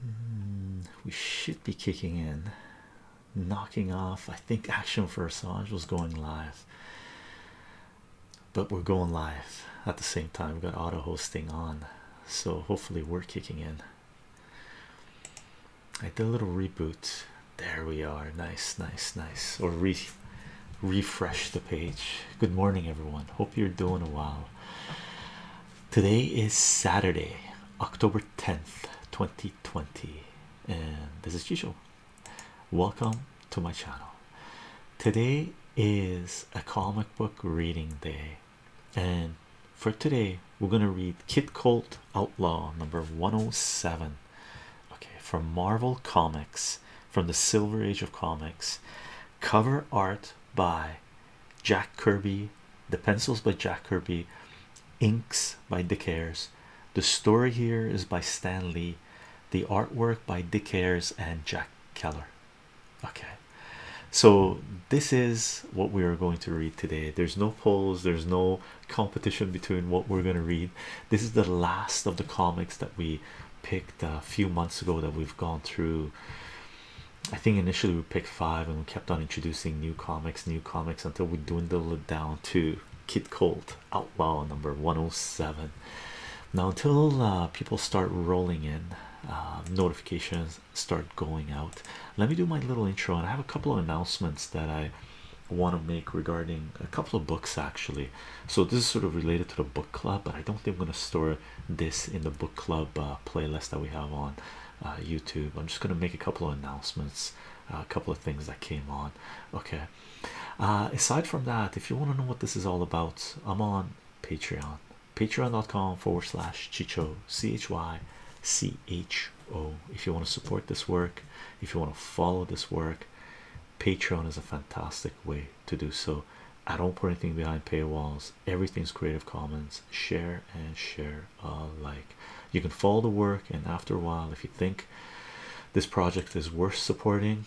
Hmm, we should be kicking in, knocking off. I think Action for Assange was going live, but we're going live at the same time. we got auto hosting on, so hopefully, we're kicking in. I did a little reboot. There we are. Nice, nice, nice. Or refresh the page. Good morning, everyone. Hope you're doing well. Today is Saturday, October 10th, 2020, and as is usual, Welcome to my channel. Today is a comic book reading day, and for today, we're going to read Kid Colt Outlaw number 107. Okay, from Marvel Comics, from the Silver Age of Comics, cover art by Jack Kirby, the pencils by Jack Kirby, inks by Dick Ayers. The story here is by Stan Lee, the artwork by Dick Ayers and Jack Keller. Okay, so this is what we are going to read today. There's no polls, there's no competition between what we're going to read. This is the last of the comics that we picked a few months ago that we've gone through I think initially we picked five and we kept on introducing new comics, new comics until we dwindled it down to Kid Colt Outlaw number 107. Now, until uh, people start rolling in, um, notifications start going out. Let me do my little intro, and I have a couple of announcements that I want to make regarding a couple of books actually. So, this is sort of related to the book club, but I don't think I'm going to store it this in the book club uh, playlist that we have on uh, YouTube. I'm just gonna make a couple of announcements, uh, a couple of things that came on. Okay. aside from that, if you want to know what this is all about, I'm on Patreon. Patreon.com forward slash Chicho C H Y C H O. If you want to support this work, if you want to follow this work, Patreon is a fantastic way to do so. I don't put anything behind paywalls everything's Creative Commons share and share alike. You can follow the work, and after a while, if you think this project is worth supporting,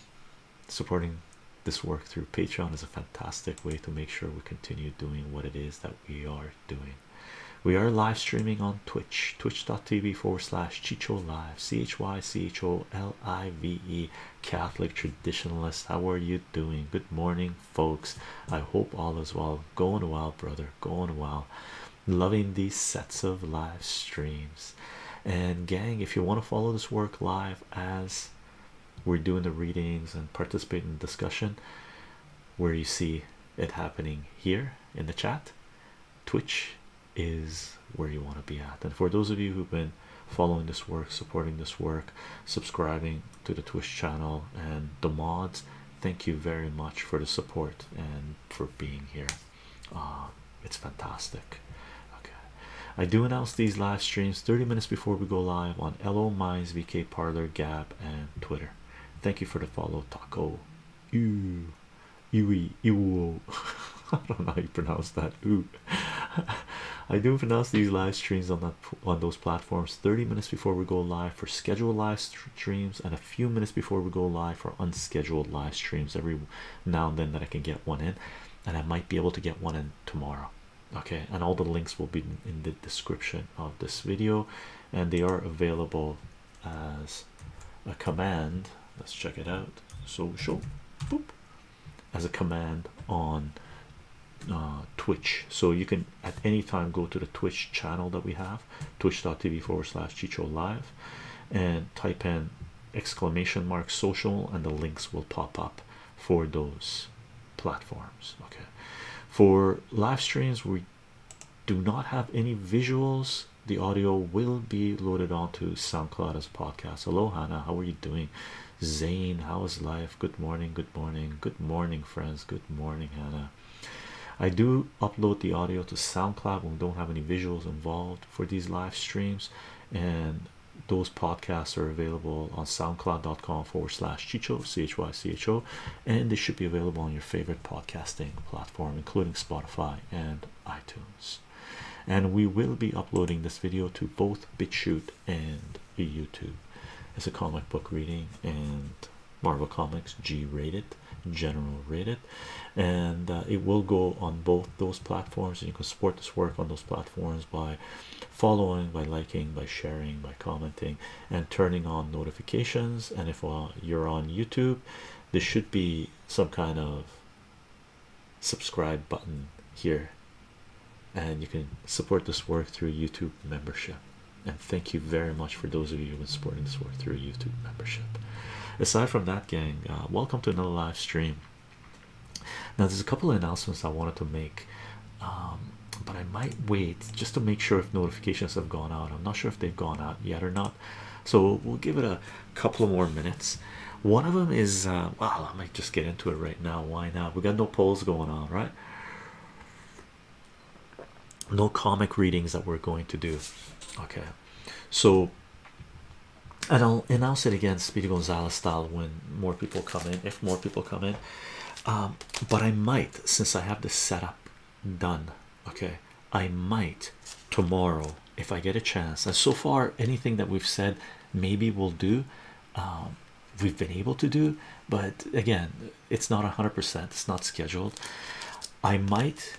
supporting this work through Patreon is a fantastic way to make sure we continue doing what it is that we are doing. We are live streaming on Twitch, twitch.tv forward slash Chicho Live, C H Y C H O L I V E. Catholic traditionalist. How are you doing? Good morning, folks. I hope all is well. Going well, brother. Going well. Loving these sets of live streams. And, gang, if you want to follow this work live as we're doing the readings and participate in the discussion, where you see it happening here in the chat, Twitch is where you want to be at. And for those of you who've been following this work, supporting this work, subscribing to the Twitch channel, and the mods. Thank you very much for the support and for being here. Uh, it's fantastic. Okay, I do announce these live streams 30 minutes before we go live on LO Minds, VK Parlor, Gab, and Twitter. Thank you for the follow, Taco. Ew, ew, ew. I don't know how you pronounce that. U. I do announce these live streams on that on those platforms 30 minutes before we go live for scheduled live streams and a few minutes before we go live for unscheduled live streams every now and then that I can get one in and I might be able to get one in tomorrow okay and all the links will be in the description of this video and they are available as a command let's check it out social boop as a command on uh, Twitch. So you can at any time go to the Twitch channel that we have, twitch.tv forward slash Chicho Live, and type in exclamation mark social, and the links will pop up for those platforms. Okay, for live streams, we do not have any visuals. The audio will be loaded onto SoundCloud as podcast. Hello, Hannah. How are you doing? Zane, how is life? Good morning, good morning, good morning, friends. Good morning, Hannah. I do upload the audio to SoundCloud when we don't have any visuals involved for these live streams, and those podcasts are available on soundcloud.com forward slash chicho chycho and they should be available on your favorite podcasting platform including spotify and itunes and we will be uploading this video to both bitchute and YouTube. It's a comic book reading and Marvel Comics G rated, general rated, and uh, it will go on both those platforms. And you can support this work on those platforms by following, by liking, by sharing, by commenting, and turning on notifications. And if uh, you're on YouTube, there should be some kind of subscribe button here and you can support this work through YouTube membership. And thank you very much for those of you who've been supporting this work through YouTube membership. Aside from that, gang, uh, welcome to another live stream. Now, there's a couple of announcements I wanted to make, um, but I might wait just to make sure if notifications have gone out. I'm not sure if they've gone out yet or not, so we'll give it a couple more minutes. One of them is uh, well, I might just get into it right now. Why not? We got no polls going on, right? No comic readings that we're going to do. Okay, so and I'll announce it again, Speedy Gonzalez style, when more people come in. If more people come in, um, but I might, since I have the setup done, okay, I might tomorrow if I get a chance. And so far, anything that we've said maybe we'll do, um, we've been able to do, but again, it's not 100%, it's not scheduled. I might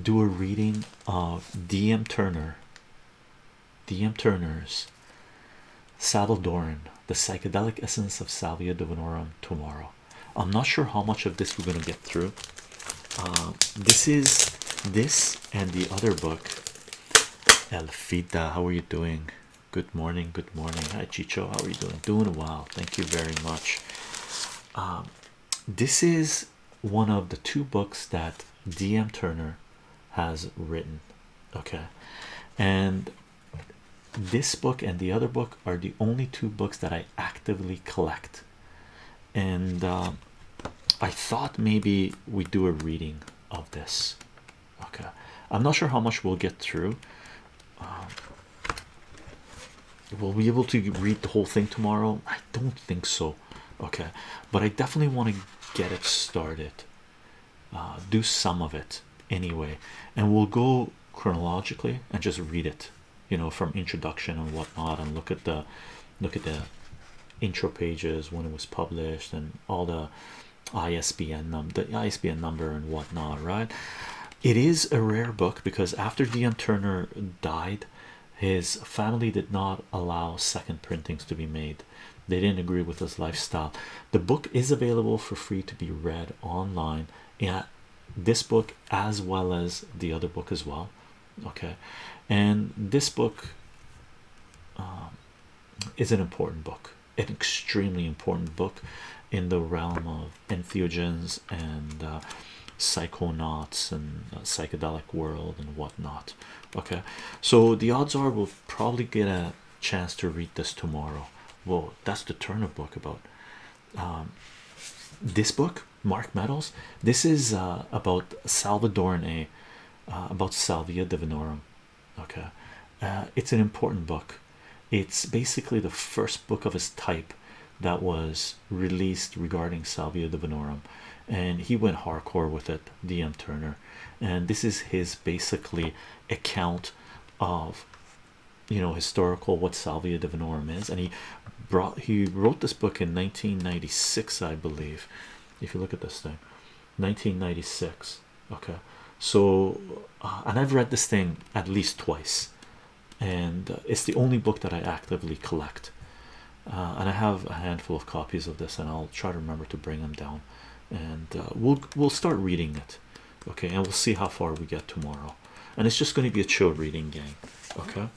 do a reading of DM Turner, DM Turner's Salvadoran, the psychedelic essence of Salvia divinorum tomorrow. I'm not sure how much of this we're going to get through. Um, this is this and the other book. Elfita, how are you doing? Good morning, good morning. Hi Chicho, how are you doing? Doing well, thank you very much. Um, this is one of the two books that DM Turner has written, okay, and this book and the other book are the only two books that I actively collect. And um, I thought maybe we do a reading of this, Okay, I'm not sure how much we'll get through. Um, we will be able to read the whole thing tomorrow? I don't think so. Okay, but I definitely want to get it started. Uh, do some of it anyway, and we'll go chronologically and just read it. You know, from introduction and whatnot, and look at the look at the intro pages when it was published and all the ISBN number, the ISBN number, and whatnot, right? It is a rare book because after D.M. Turner died, his family did not allow second printings to be made, they didn't agree with his lifestyle. The book is available for free to be read online. Yeah, this book as well as the other book as well. Okay, and this book um, is an important book an extremely important book in the realm of entheogens and uh, psychonauts and uh, psychedelic world and whatnot. Okay, so the odds are we'll probably get a chance to read this tomorrow. Whoa, that's the Turner book about um, this book, Mark Meadows. This is uh, about Salvadoran A, uh, about Salvia divinorum okay uh, it's an important book it's basically the first book of his type that was released regarding salvia divinorum and he went hardcore with it dm turner and this is his basically account of you know historical what salvia divinorum is and he brought he wrote this book in 1996 i believe if you look at this thing 1996 okay so uh, and i've read this thing at least twice and it's the only book that i actively collect uh, and i have a handful of copies of this and i'll try to remember to bring them down and uh, we'll we'll start reading it okay and we'll see how far we get tomorrow and it's just going to be a chill reading game okay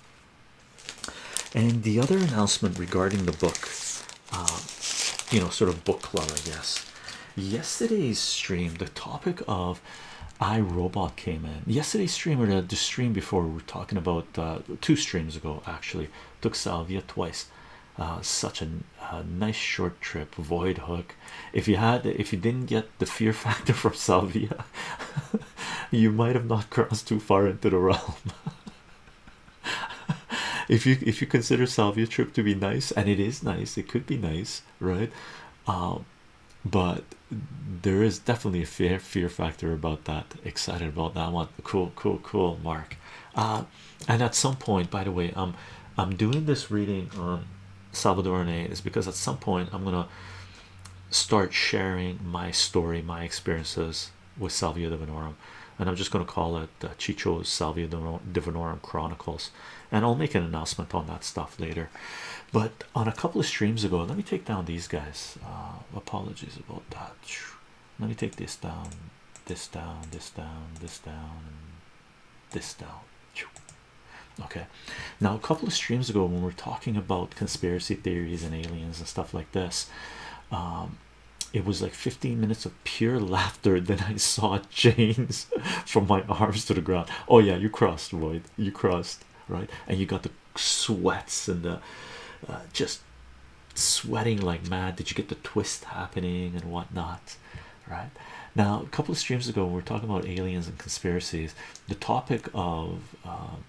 and the other announcement regarding the book you know sort of book club i guess Yesterday's stream, the topic of iRobot came in. Yesterday's stream, or the stream before, we were talking about uh, two streams ago actually. Took Salvia twice. Uh, such a nice short trip. Void hook. If you had, if you didn't get the fear factor from Salvia, you might have not crossed too far into the realm. if you if you consider Salvia trip to be nice, and it is nice, it could be nice, right? Um, but there is definitely a fear fear factor about that. Excited about that one. Cool, cool, cool. Mark. Uh, and at some point, by the way, um, I'm doing this reading on Salvadoran is because at some point I'm gonna start sharing my story, my experiences with Salvia Divinorum, and I'm just gonna call it but uh, Chicho's Salvia Divinorum Chronicles, and I'll make an announcement on that stuff later. But on a couple of streams ago, let me take down these guys. Uh, apologies about that. Let me take this down, this down, this down, this down, this down. Okay, now a couple of streams ago, when we were talking about conspiracy theories and aliens and stuff like this, um, it was like 15 minutes of pure laughter Then I saw chains from my arms to the ground. Oh, yeah, you crossed, Void. You crossed, right? And you got the sweats and the uh, just sweating like mad. Did you get the twist happening and whatnot? Right now, a couple of streams ago, we were talking about aliens and conspiracies. The topic of um,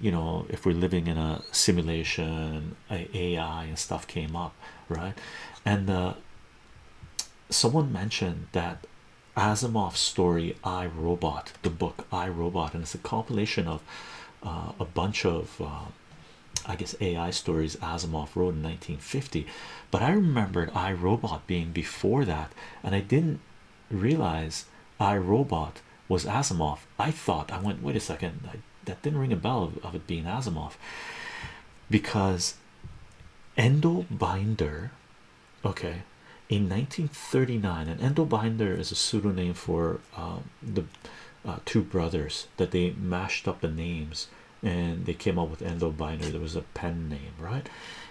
you know, if we're living in a simulation, AI and stuff came up, right? And someone mentioned that asimov's story i robot the book i robot and it's a compilation of uh, a bunch of uh, i guess ai stories asimov wrote in 1950 but i remembered i robot being before that and i didn't realize i robot was asimov i thought i went wait a second that didn't ring a bell of it being asimov because endo binder okay in 1939 and endo binder is a pseudonym for um, the uh, two brothers that they mashed up the names and they came up with endo binder there was a pen name right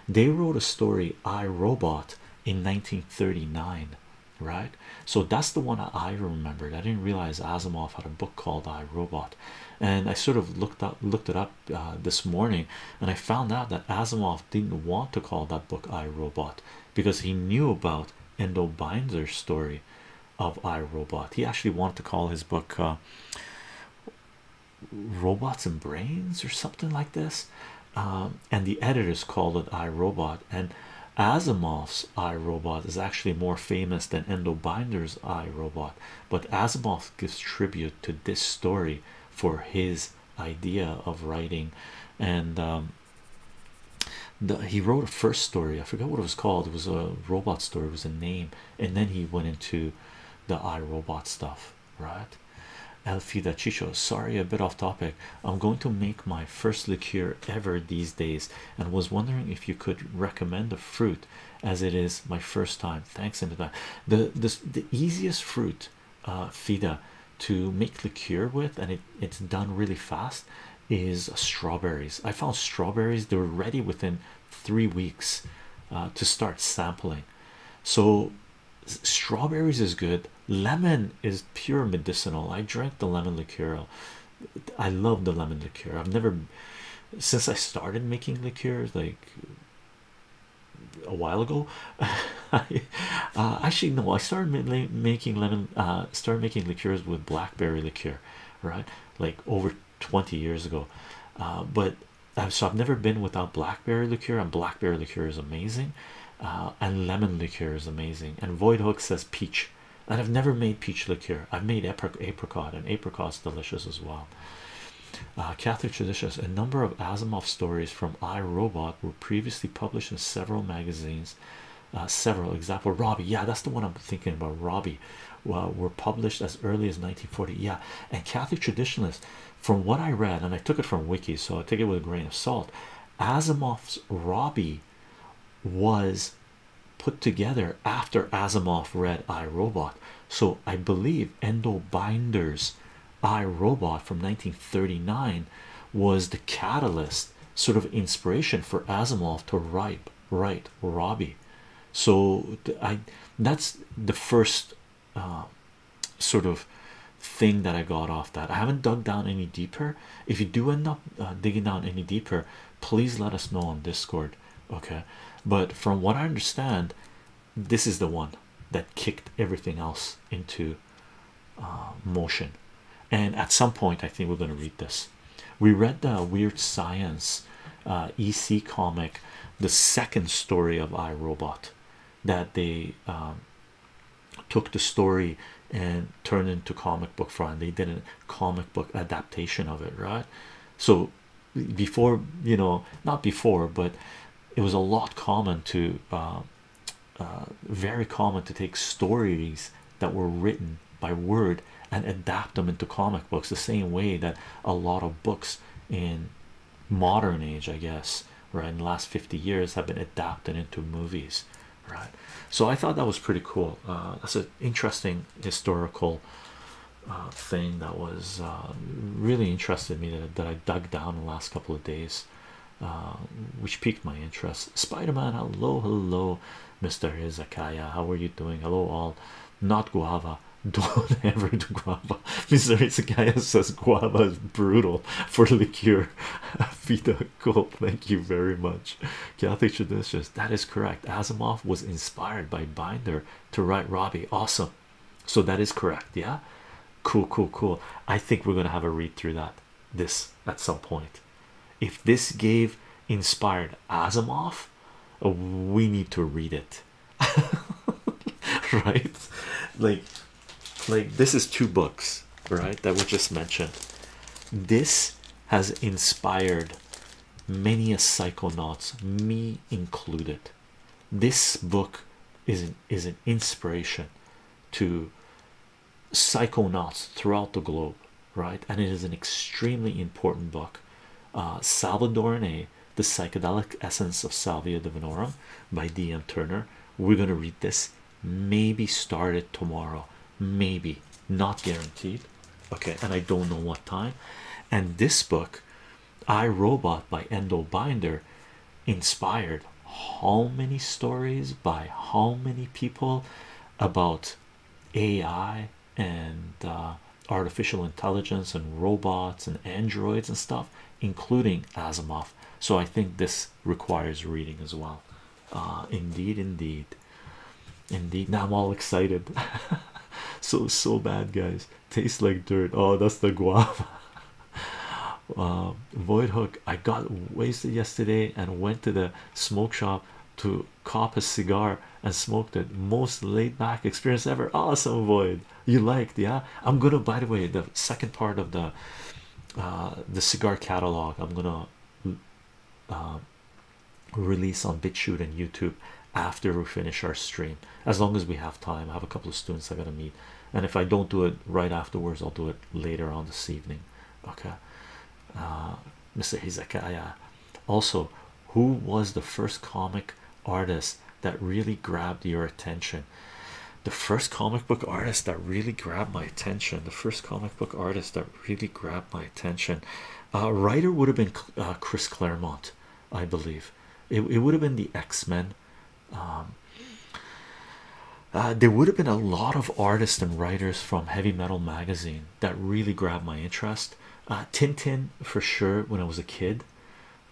they wrote a story i robot in 1939 right so that's the one i remembered i didn't realize asimov had a book called i robot and i sort of looked up looked it up uh, this morning and I found out that Asimov didn't want to call that book I Robot because he knew about Endo Binder's story of I Robot. He actually wanted to call his book uh, Robots and Brains or something like this. Um, and the editors called it I Robot and Asimov's I Robot is actually more famous than Endo Binder's I Robot but Asimov gives tribute to this story for his idea of writing and um, he wrote a first story I forgot what it was called it was a robot story it was a name and then he went into the I Robot stuff right Elfida Chicho sorry a bit off topic I'm going to make my first liqueur ever these days and was wondering if you could recommend a fruit as it is my first time. Thanks, Imada. The the easiest fruit uh, fida to make liqueur with and it, it's done really fast is strawberries. I found strawberries they were ready within three weeks uh, to start sampling. So strawberries is good. Lemon is pure medicinal. I drank the lemon liqueur. I love the lemon liqueur. I've never since I started making liqueurs like a while ago uh, actually no i started making lemon uh, started making liqueurs with blackberry liqueur right like over 20 years ago uh, but so i've never been without blackberry liqueur and blackberry liqueur is amazing and lemon liqueur is amazing and void hook says peach and i've never made peach liqueur i've made apricot and apricot's delicious as well uh, Catholic traditionalists: A number of Asimov stories from I Robot were previously published in several magazines. Uh, several example Robbie, yeah, that's the one I'm thinking about. Robbie, were published as early as 1940. Yeah, and Catholic traditionalists, from what I read, and I took it from Wiki, so I take it with a grain of salt. Asimov's Robbie was put together after Asimov read I Robot, so I believe Endo Binder's I Robot from 1939 was the catalyst, sort of inspiration for Asimov to write, write Robbie. So I that's the first uh, sort of thing that I got off that. I haven't dug down any deeper. If you do end up uh, digging down any deeper, please let us know on Discord. Okay, but from what I understand, this is the one that kicked everything else into uh, motion. And at some point, I think we're going to read this. We read the Weird Science uh, EC comic, the second story of I Robot, that they um, took the story and turned into comic book form. they did a comic book adaptation of it, right? So before you know not before but it was a lot common to um, uh, very common to take stories that were written by word and adapt them into comic books the same way that a lot of books in modern age i guess right in the last 50 years have been adapted into movies right so i thought that was pretty cool uh, that's an interesting historical uh, thing that was um, really interested me that, that I dug down the last couple of days, um, which piqued my interest. Spider Man, hello, hello, Mr. Izakaya, how are you doing? Hello, all. Not guava, don't ever do guava. Mr. Izakaya says guava is brutal for liqueur. Vita, cool, thank you very much. Catholic traditions, that is correct. Asimov was inspired by Binder to write Robbie, awesome so that is correct yeah cool cool cool i think we're going to have a read through that this at some point if this gave inspired asimov we need to read it right like like this is two books right that were just mentioned this has inspired many a psychonauts me included this book is an, is an inspiration to psychonauts throughout the globe right and it is an extremely important book uh, salvadorne the psychedelic essence of salvia divinorum by dm turner we're going to read this maybe start it tomorrow maybe not guaranteed okay and i don't know what time and this book I Robot by Endo Binder inspired how many stories by how many people about AI and uh, artificial intelligence and robots and androids and stuff, including Asimov. So I think this requires reading as well. Uh, indeed, indeed, indeed. Now I'm all excited. so so bad, guys. tastes like dirt oh that's the guava uh, void hook i got wasted yesterday and went to the smoke shop to cop a cigar and smoked it most laid back experience ever awesome void you liked yeah i'm gonna by the way the second part of the uh, the cigar catalog i'm gonna uh, release on BitChute and YouTube after we finish our stream as long as we have time i have a couple of students i gotta meet and if i don't do it right afterwards i'll do it later on this evening okay uh, mr hizakaya also who was the first comic artist that really grabbed your attention the first comic book artist that really grabbed my attention the first comic book artist that really grabbed my attention uh writer would have been uh, chris claremont I believe it, it would have been the X-Men um, uh, there would have been a lot of artists and writers from heavy metal magazine that really grabbed my interest uh, Tintin for sure when I was a kid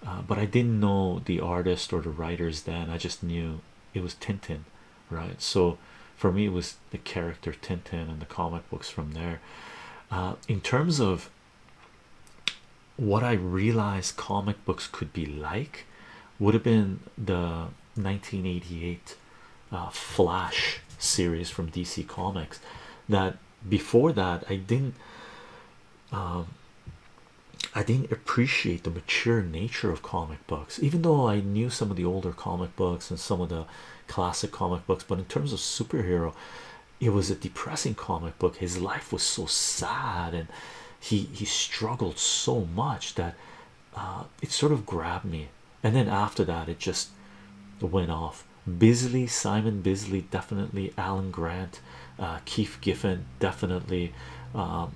uh, but I didn't know the artist or the writers then I just knew it was Tintin right so for me it was the character Tintin and the comic books from there in terms of what I realized comic books could be like would have been the 1988 uh, Flash series from DC Comics. That before that, I didn't. Um, I didn't appreciate the mature nature of comic books, even though I knew some of the older comic books and some of the classic comic books. But in terms of superhero, it was a depressing comic book his life was so sad and he he struggled so much that uh, it sort of grabbed me and then after that it just went off Bisley Simon Bisley definitely Alan Grant uh, Keith Giffen definitely um,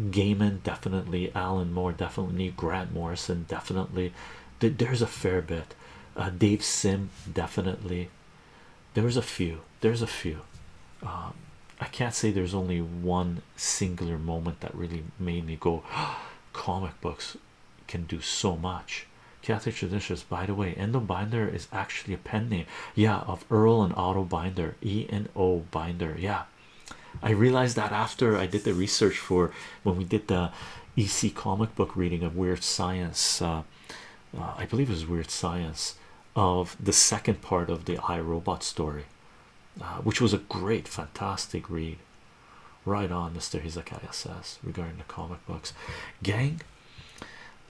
Gaiman definitely Alan Moore definitely Grant Morrison definitely there's a fair bit uh, Dave Sim definitely there's a few there's a few um, I can't say there's only one singular moment that really made me go comic books can do so much Catholic traditions by the way Endo binder is actually a pen name yeah of Earl and Otto binder E and O binder yeah I realized that after I did the research for when we did the EC comic book reading of weird science uh, uh, I believe it was Weird Science of the second part of the I Robot story, uh, which was a great, fantastic read. Right on, Mr. Hizakaya says regarding the comic books. Gang,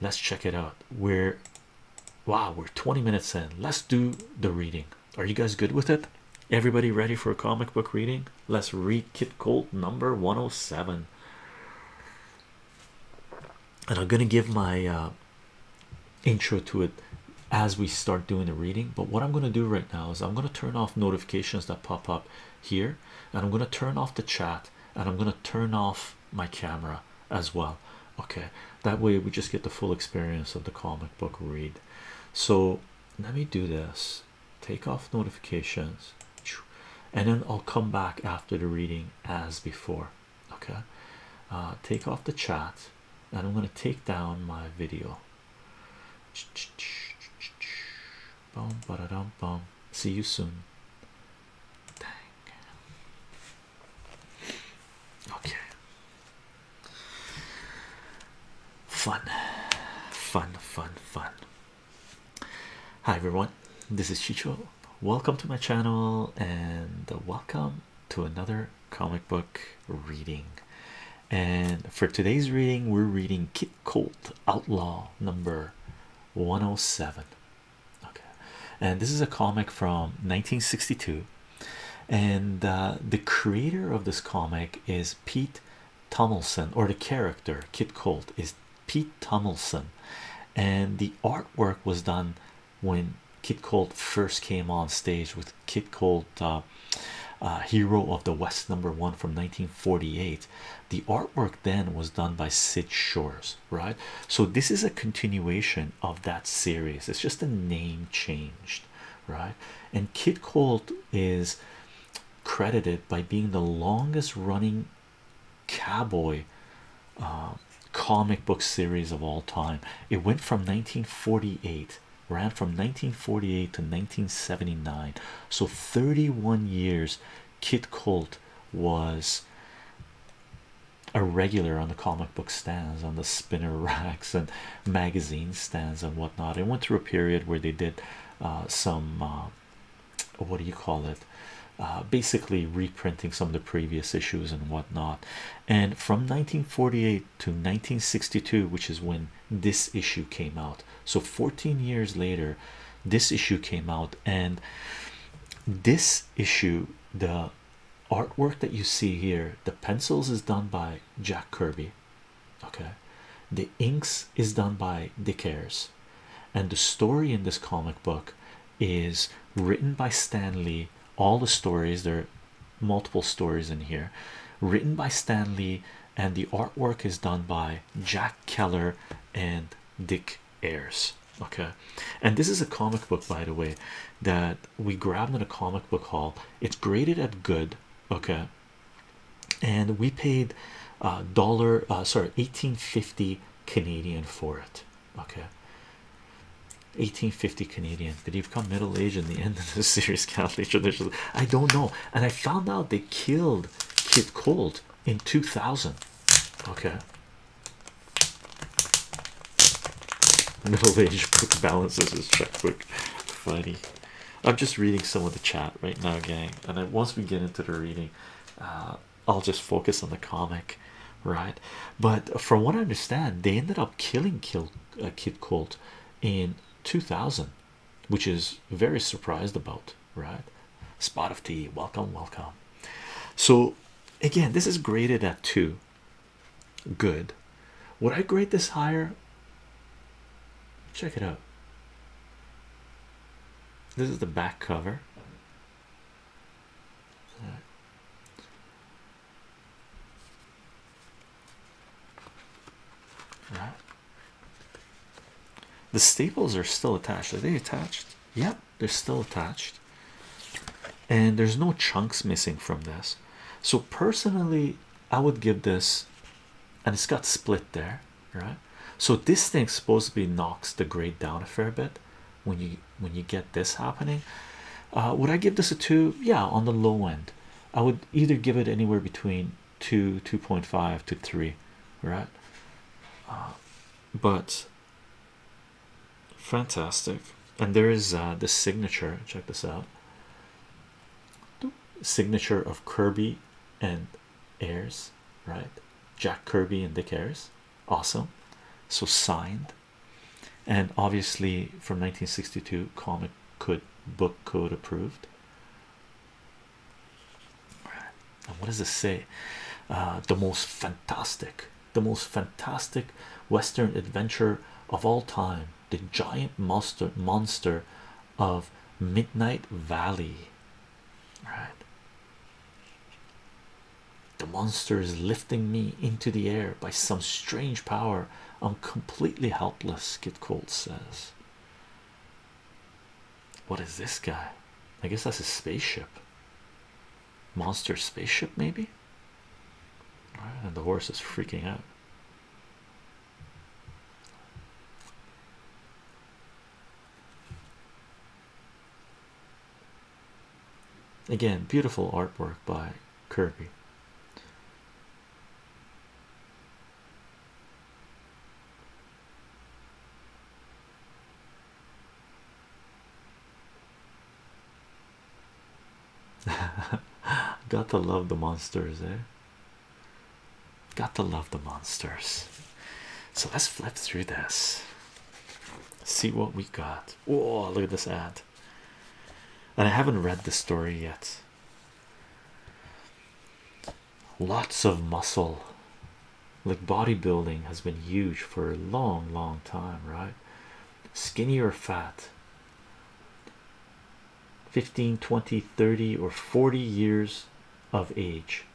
let's check it out. We're wow, we're 20 minutes in. Let's do the reading. Are you guys good with it? Everybody ready for a comic book reading? Let's read Kid Colt number 107 and I'm gonna give my uh, intro to it as we start doing the reading. But what I'm gonna do right now is I'm gonna turn off notifications that pop up here, and I'm gonna turn off the chat, and I'm gonna turn off my camera as well. Okay, that way we just get the full experience of the comic book read. So let me do this. Take off notifications and then I'll come back after the reading as before. Okay, uh, take off the chat, and I'm going to take down my video. Boom, ba -bum. See you soon. Okay. Fun, fun, fun, fun. Hi everyone, this is Chicho. Welcome to my channel and welcome to another comic book reading. And for today's reading, we're reading Kit Colt Outlaw number 107. Okay, and this is a comic from 1962. And uh, the creator of this comic is Pete Tomlinson, or the character Kit Colt is Pete Tummelson, and the artwork was done when Kid Colt first came on stage with Kid Colt, uh, uh, Hero of the West, number one from 1948. The artwork then was done by Sid Shores, right? So, this is a continuation of that series, it's just a name changed, right? And Kid Colt is credited by being the longest running cowboy um, comic book series of all time. It went from 1948, ran from 1948 to 1979. So 31 years, Kid Colt was a regular on the comic book stands, on the spinner racks, and magazine stands and whatnot. It went through a period where they did uh, some uh, what do you call it? Uh, basically reprinting some of the previous issues and whatnot. And from 1948 to 1962, which is when this issue came out, so 14 years later, this issue came out, and this issue, the artwork that you see here, the pencils is done by Jack Kirby. Okay, the inks is done by Dick Ayers, and the story in this comic book is written by Stan Lee. All the stories, there are multiple stories in here, written by Stan Lee, and the artwork is done by Jack Keller and Dick Ayers. Okay, and this is a comic book, by the way, that we grabbed in a comic book haul. It's graded at good, okay, and we paid uh dollar uh sorry 1850 Canadian for it. Okay, 1850 Canadian. Did he become middle aged in the end of the series? Catholic tradition? I don't know. And I found out they killed Kid Cold in 2000. Okay, middle aged book balances his checkbook. Funny. I'm just reading some of the chat right now, gang. And then once we get into the reading, uh, I'll just focus on the comic, right? But from what I understand, they ended up killing Kill a uh, Kid Colt in 2000, which is very surprised about, right? Spot of tea, welcome, welcome. So, again, this is graded at two. Good. Would I grade this higher? Check it out. This is the back cover. The staples are still attached. Are they attached? Yep, they're still attached. And there's no chunks missing from this. So personally, I would give this and it's got split there, right? So this thing supposedly knocks the grade down a fair bit when you when you get this happening uh, would I give this a two yeah on the low end I would either give it anywhere between two 2.5 to three right uh, but fantastic and there is uh, the signature check this out signature of Kirby and Ayers right Jack Kirby and Dick Ayers awesome so signed and obviously from 1962 comic could book code approved and what does it say uh, the most fantastic the most fantastic western adventure of all time the giant monster monster of midnight valley right? The monster is lifting me into the air by some strange power. I'm completely helpless, Kid Colt says. What is this guy? I guess that's a spaceship. Monster spaceship, maybe? and the horse is freaking out. Again, beautiful artwork by Kirby. Got to love the monsters, eh? Got to love the monsters. So let's flip through this see what we got. Oh, look at this ad! And I haven't read the story yet. Lots of muscle, like bodybuilding, has been huge for a long, long time, right? Skinny or fat. Fifteen, twenty, thirty, or 40 years of age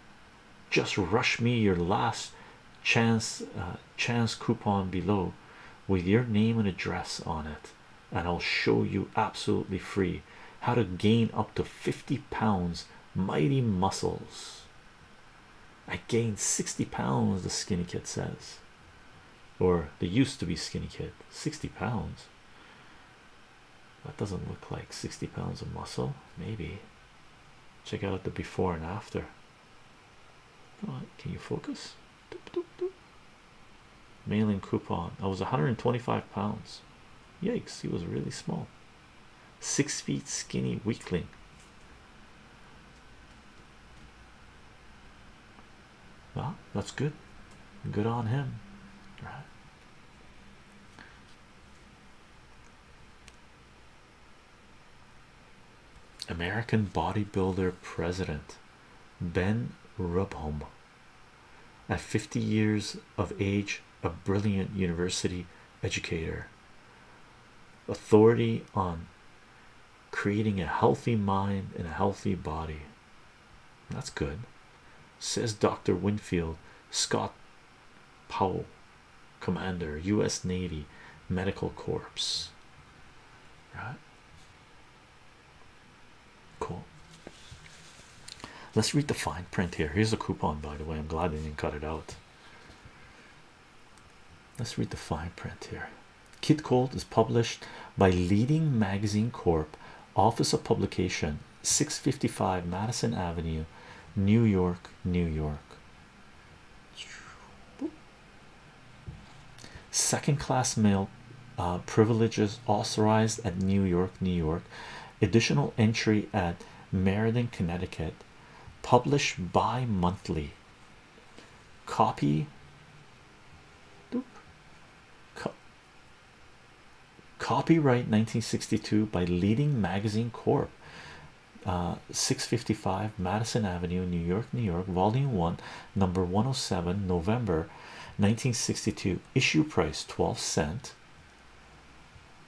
just rush me your last chance uh, chance coupon below with your name and address on it and I'll show you absolutely free how to gain up to 50 pounds mighty muscles I gained 60 pounds the skinny kid says or the used to be skinny kid 60 pounds that doesn't look like 60 pounds of muscle maybe check out the before and after can you focus? Doop, doop, Mailing coupon. I was 125 pounds. Yikes, he was really small. Six feet skinny weakling. Well, that's good. Good on him. American bodybuilder president Ben Rubholm. At 50 years of age, a brilliant university educator, authority on creating a healthy mind and a healthy body. That's good, says Dr. Winfield Scott Powell, commander, U.S. Navy, Medical Corps. Right, cool. Let's read the fine print here. Here's a coupon, by the way. I'm glad they didn't cut it out. Let's read the fine print here. Kid is published by Leading Magazine Corp, Office of Publication, 655 Madison Avenue, New York, New York. Second class mail uh, privileges authorized at New York, New York. Additional entry at Meriden, Connecticut. Published bi monthly. Copy. copyright 1962 by Leading Magazine Corp. Uh, 655 Madison Avenue, New York, New York, volume 1, number 107, November 1962. Issue price 12 cent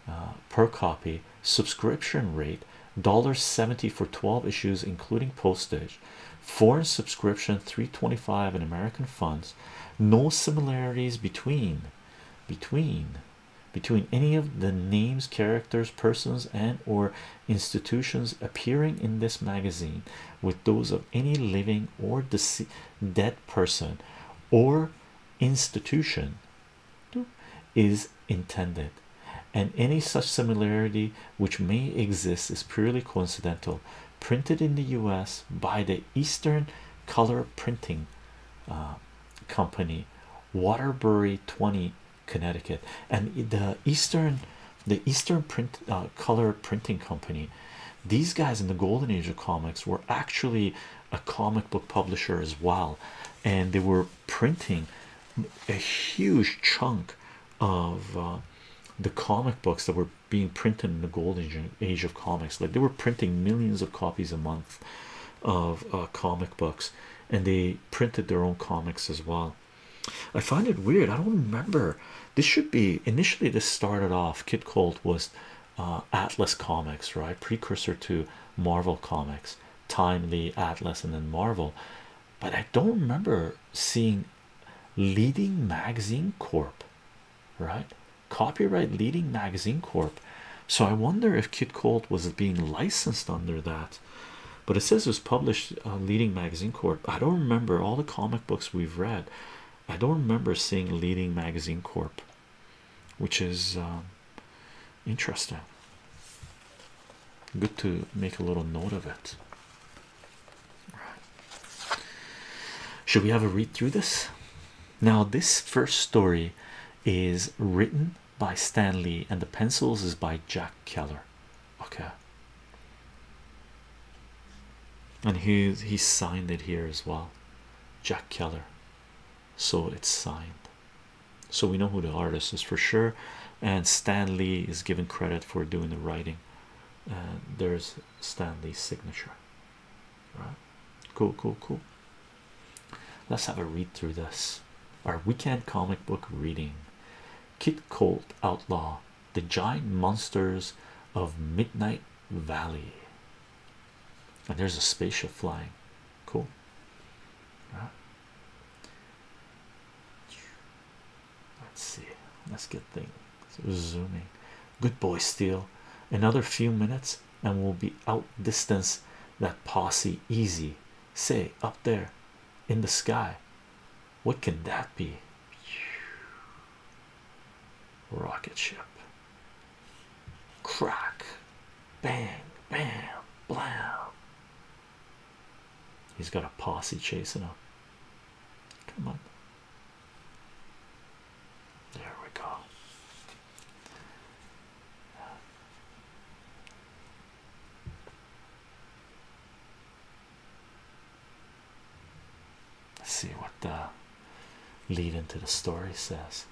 uh, per copy, subscription rate $1.70 for 12 issues, including postage, foreign subscription 325 in American funds. No similarities between between between any of the names characters persons and or institutions appearing in this magazine with those of any living or dead person or institution is intended and any such similarity which may exist is purely coincidental printed in the US by the Eastern Color Printing uh, Company Waterbury 20 Connecticut, and the Eastern, the Eastern Print uh, Color Printing Company. These guys in the Golden Age of comics were actually a comic book publisher as well, and they were printing a huge chunk of uh, the comic books that were being printed in the Golden Age of comics. Like they were printing millions of copies a month of uh, comic books, and they printed their own comics as well. I find it weird. I don't remember. This should be initially. This started off. Kid Colt was uh, Atlas Comics, right? Precursor to Marvel Comics, Timely, Atlas, and then Marvel. But I don't remember seeing Leading Magazine Corp, right? Copyright Leading Magazine Corp. So I wonder if Kid Colt was being licensed under that but it says it was published on uh, leading magazine corp i don't remember all the comic books we've read i don't remember seeing leading magazine corp which is um, interesting good to make a little note of it should we have a read through this now this first story is written by Stan Lee and the pencils is by Jack Keller. Okay. And he he signed it here as well. Jack Keller. So it's signed. So we know who the artist is for sure. And Stan Lee is given credit for doing the writing. And there's Stan Lee's signature. All right. Cool, cool, cool. Let's have a read through this. Our weekend comic book reading Kit Colt Outlaw, The Giant Monsters of Midnight Valley. And there's a spaceship flying. Cool. Let's see. Let's get things zooming. Good boy, Steele. Another few minutes and we'll be outdistance that posse easy. Say up there, in the sky. What can that be? Rocket ship. Crack. Bang. Bam. Blam. He's got a posse chasing him. Come on. There we go. Let's see what the lead into the story says.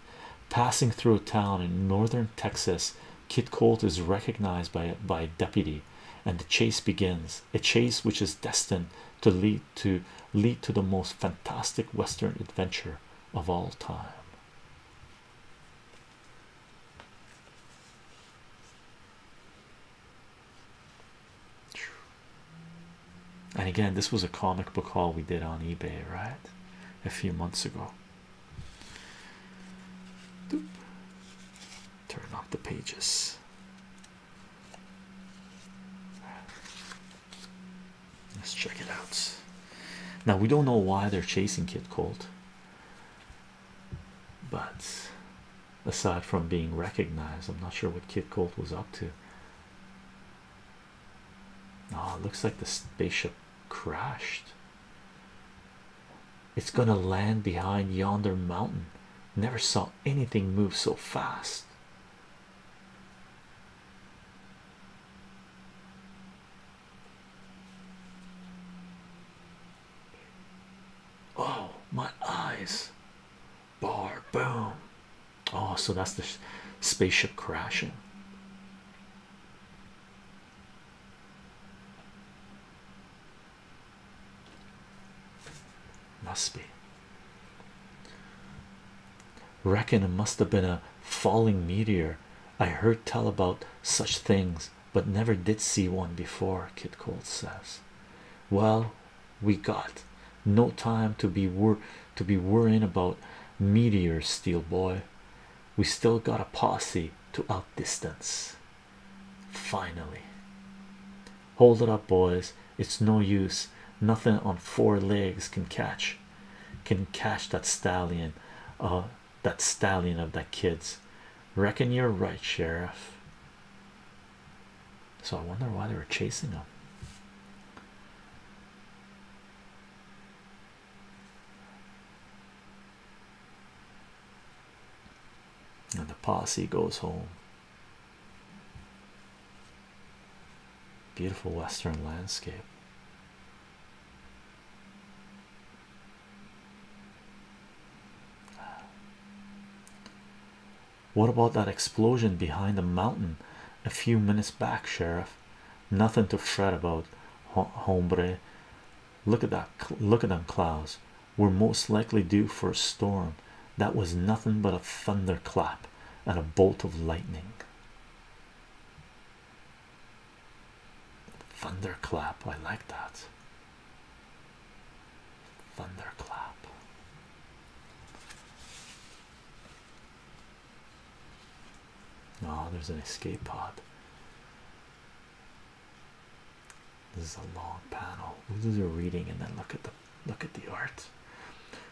Passing through a town in northern Texas, Kit Colt is recognized by by a deputy, and the chase begins. A chase which is destined to lead to lead to the most fantastic Western adventure of all time. And again, this was a comic book haul we did on eBay, right? A few months ago. Turn off the pages. Let's check it out. Now we don't know why they're chasing Kid Colt but aside from being recognized, I'm not sure what Kid Colt was up to. Oh, looks like the spaceship crashed. It's gonna land behind yonder mountain. Never saw anything move so fast. Oh, my eyes bar boom. Oh, so that's the spaceship crashing. Must be. Reckon it must have been a falling meteor. I heard tell about such things but never did see one before. Kid Colt says, Well, we got no time to be worr to be worrying about meteors, steel boy. We still got a posse to outdistance. Finally, hold it up, boys. It's no use, nothing on four legs can catch. Can catch that stallion, uh, that stallion of that kids. Reckon you're right, Sheriff. So I wonder why they were chasing him. And the posse goes home. Beautiful western landscape. What about that explosion behind the mountain a few minutes back, Sheriff? Nothing to fret about, hombre. Look at that, look at them clouds. We're most likely due for a storm. That was nothing but a thunderclap and a bolt of lightning. Thunderclap, I like that. Thunderclap. Oh, there's an escape pod. This is a long panel. We'll do the reading and then look at the look at the art.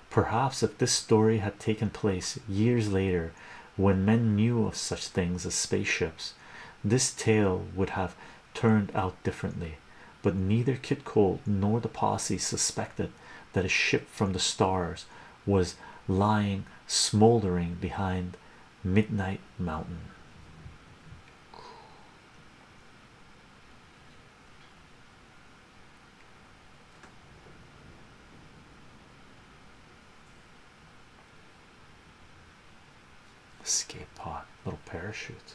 Perhaps if this story had taken place years later, when men knew of such things as spaceships, this tale would have turned out differently, but neither Kit Cole nor the posse suspected that a ship from the stars was lying smoldering behind Midnight Mountain. Escape pod, little parachute.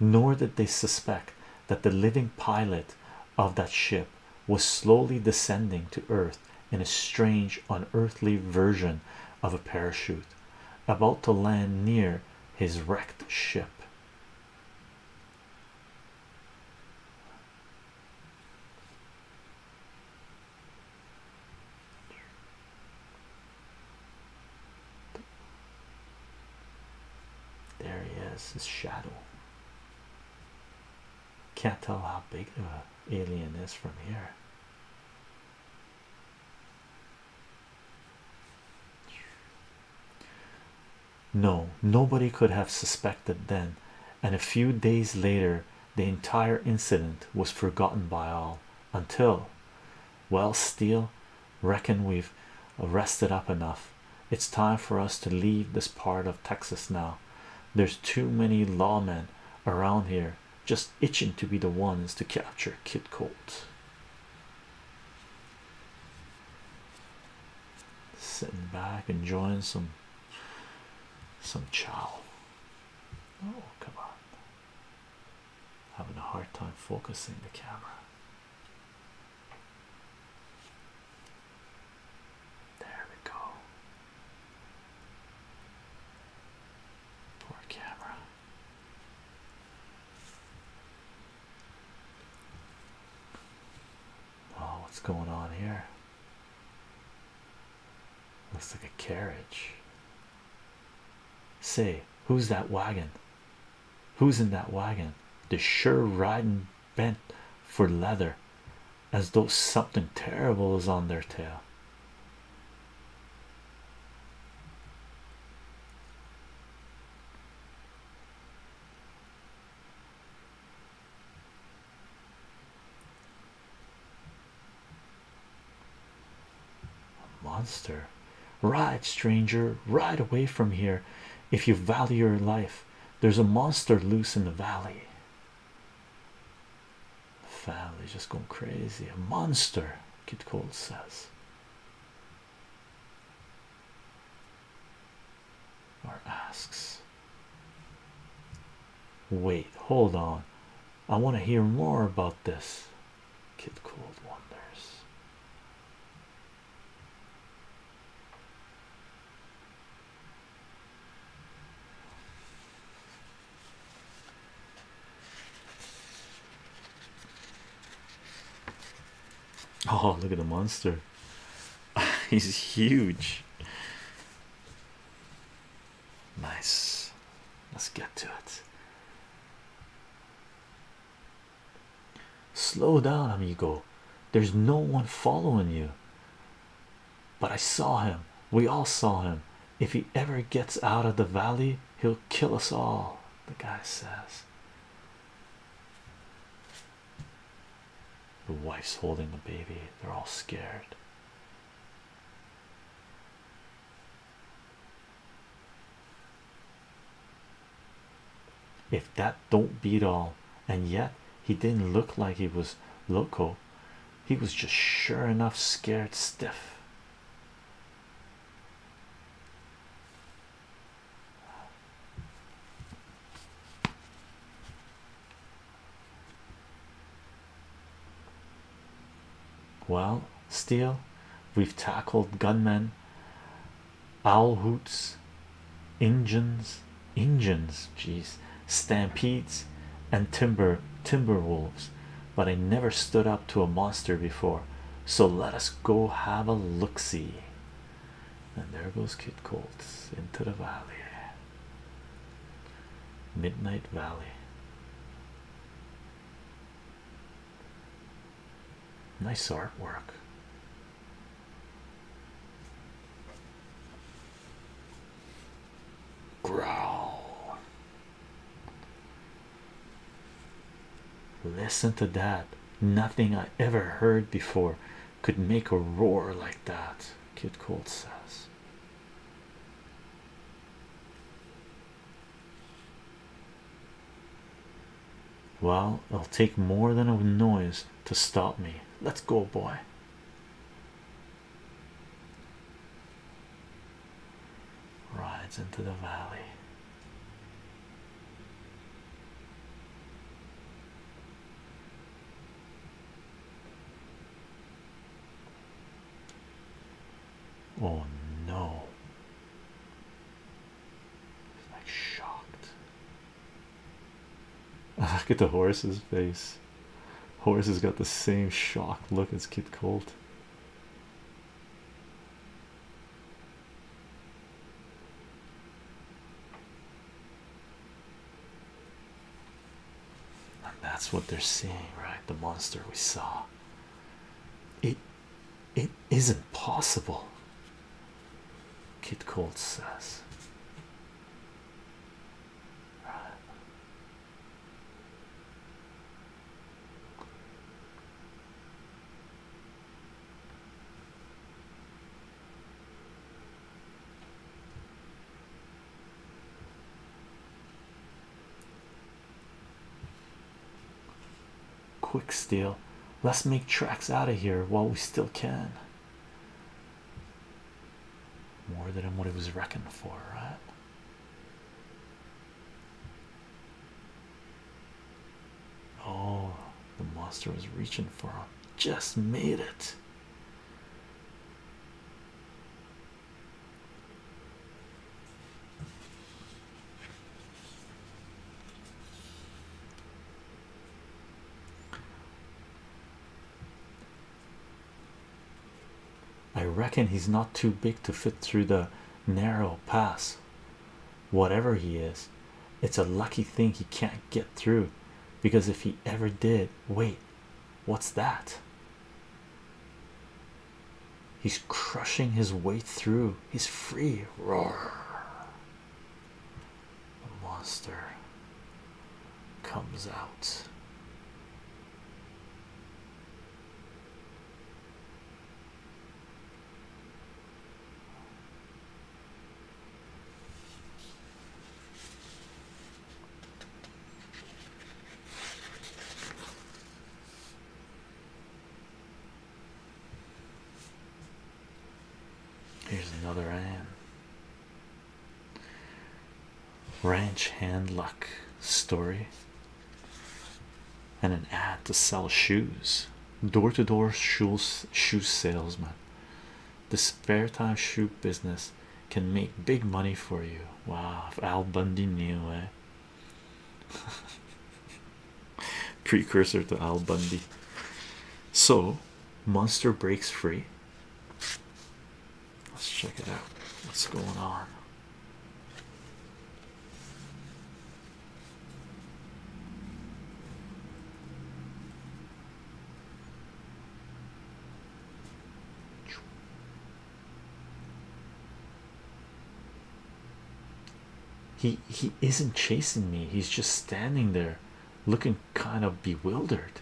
Nor did they suspect that the living pilot of that ship was slowly descending to earth in a strange, unearthly version of a parachute about to land near his wrecked ship. There he is, his shadow. Can't tell how big the alien is from here. No, nobody could have suspected then, and a few days later, the entire incident was forgotten by all until well Steele reckon we've rested up enough it's time for us to leave this part of Texas now there's too many lawmen around here just itching to be the ones to capture Kid Colt sitting back enjoying some some chow oh come on Having a hard time focusing the camera. There we go. Poor camera. Oh, what's going on here? Looks like a carriage. Say, who's that wagon? Who's in that wagon? They sure riding bent for leather, as though something terrible is on their tail. A monster ride stranger ride away from here if you value your life there's a monster loose in the valley family just going crazy a monster kid cold says or asks wait hold on I want to hear more about this. Kid called Wonders. Oh, look at the monster. He's huge. Nice. Let's get to it. Slow down, amigo. There's no one following you. But I saw him. We all saw him. If he ever gets out of the valley, he'll kill us all, the guy says. The wife's holding the baby. They're all scared if that don't beat all and yet he didn't look like he was loco he was just sure enough scared stiff well, Steele, we've tackled gunmen, owl hoots, Injuns, Injuns, jeez, stampedes, and timber timber wolves, but I never stood up to a monster before. So let us go have a look see. And there goes Kid Colts into the valley. Midnight Valley. Nice artwork. Growl. Listen to that. Nothing I ever heard before could make a roar like that, Kid Colt says. Well, it'll take more than a noise to stop me. Let's go, boy. Rides into the valley. Oh no. He's like shocked. Look at the Horace's face. Horace has got the same shocked look as Kid Colt and that's what they're seeing, right? The monster we saw. It it isn't possible. Kid Colt says. Quick steal. Let's make tracks out of here while we still can. More than what it was reckoned for, right? Oh, the monster was reaching for him. Just made it. I reckon he's not too big to fit through the narrow pass. Whatever he is, it's a lucky thing he can't get through because if he ever did, wait, what's that? He's crushing his way through. He's free. Roar. The monster comes out. Here's another ad. Ranch hand luck story and an ad to sell shoes. Door to door shoes, shoe salesman. The spare time shoe business can make big money for you. Wow, Al Bundy knew, eh? Precursor to Al Bundy. So, monster breaks free. Let's check it out. What's going on? He he isn't chasing me. He's just standing there looking kind of bewildered.